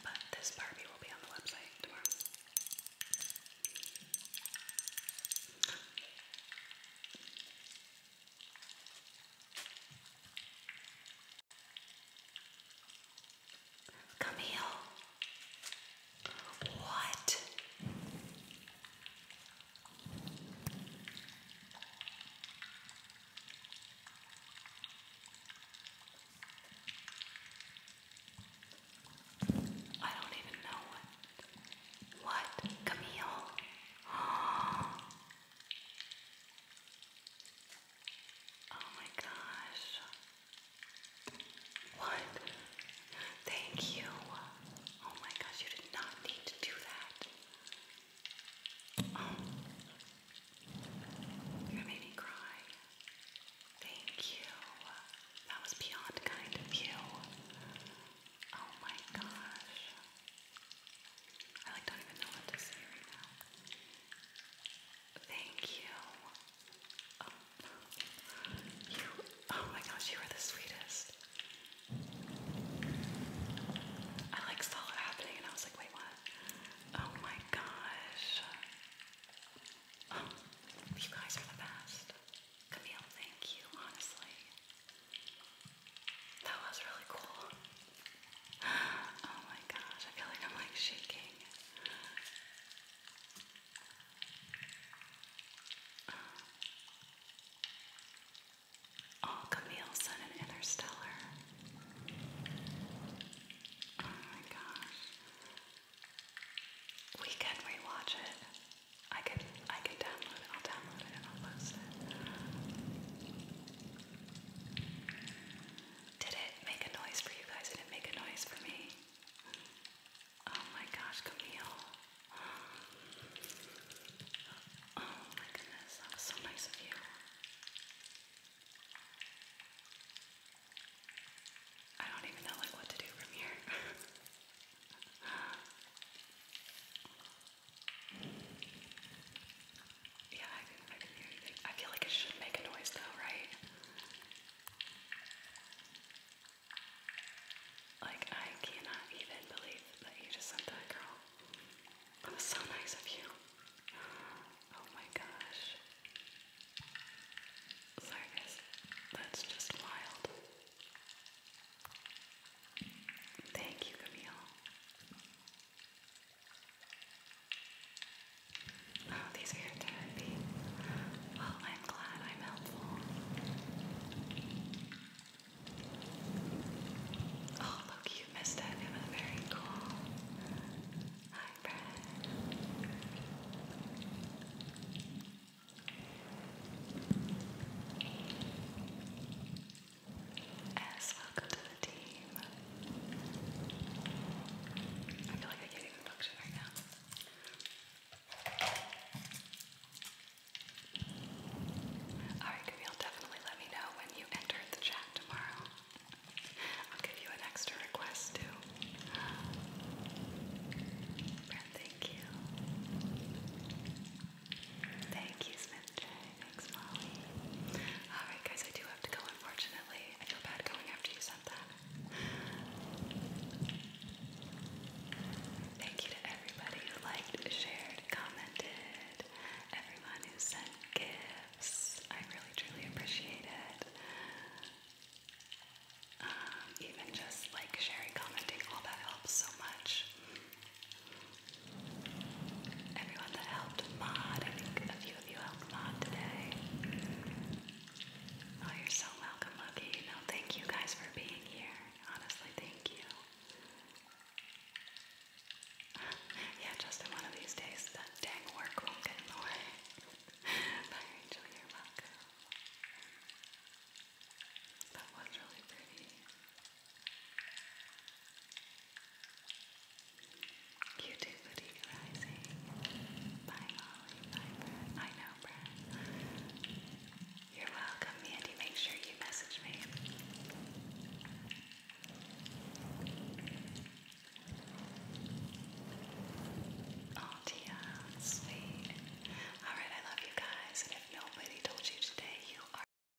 But this Barbie will be on the website tomorrow. Camille, what? I don't even know what. What, Camille? Oh my gosh. What? Thank you. Oh my gosh, you did not need to do that. Oh. You made me cry. Thank you. That was beyond kind of you. Oh my gosh. I like don't even know what to say right now. Thank you. Oh, you, oh my gosh, you are the sweetest. I like saw it happening and I was like, wait, what? Oh my gosh. Oh, you guys are the best. Camille, thank you, honestly. That was really cool. Oh my gosh, I feel like I'm like shaking. Oh, Camille Sun and Interstellar. Oh my gosh. We can rewatch it. I can I can download I'll download it and I'll post it. Did it make a noise for you guys? Did it make a noise for me? Oh my gosh, Camille. Oh my goodness, that was so nice of you. I don't even know like what to do from here. Yeah, I can, I can hear you. I feel like it should make a noise though, right? Like, I cannot even believe that you just sent that girl. That was so nice of you. Oh my gosh. Sorry guys, that's just wild. Thank you, Camille. Oh, these are your therapy. Well, I'm glad I'm helpful. Oh, look, you missed it. It was very cool. Hi, Brad. As welcome to the team. I feel like I can't even function right now. Alright, Camille, definitely let me know when you enter the chat tomorrow. I'll give you an extra request too. thank you. Thank you, Smith J. Thanks, Molly. Alright, guys, I do have to go, unfortunately. I feel bad going after you sent that. Thank you to everybody who liked, shared, commented, everyone who sent gifts. I really, truly appreciate it. Um, even just like sharing, commenting, all that helps so much everyone that helped mod. I think a few of you helped mod today. Oh, you're so welcome, Lucky. No, thank you guys for being here. Honestly, thank you. yeah, just in one of these days, that dang work won't get in the way. Bye, Rachel. You're welcome. That was really pretty. YouTube Boutique Rising by Molly by Brad. I know Brad. You're welcome, Mandy. Make sure you message me. Oh, Tia, sweet. Alright, I love you guys. And if nobody told you today, you are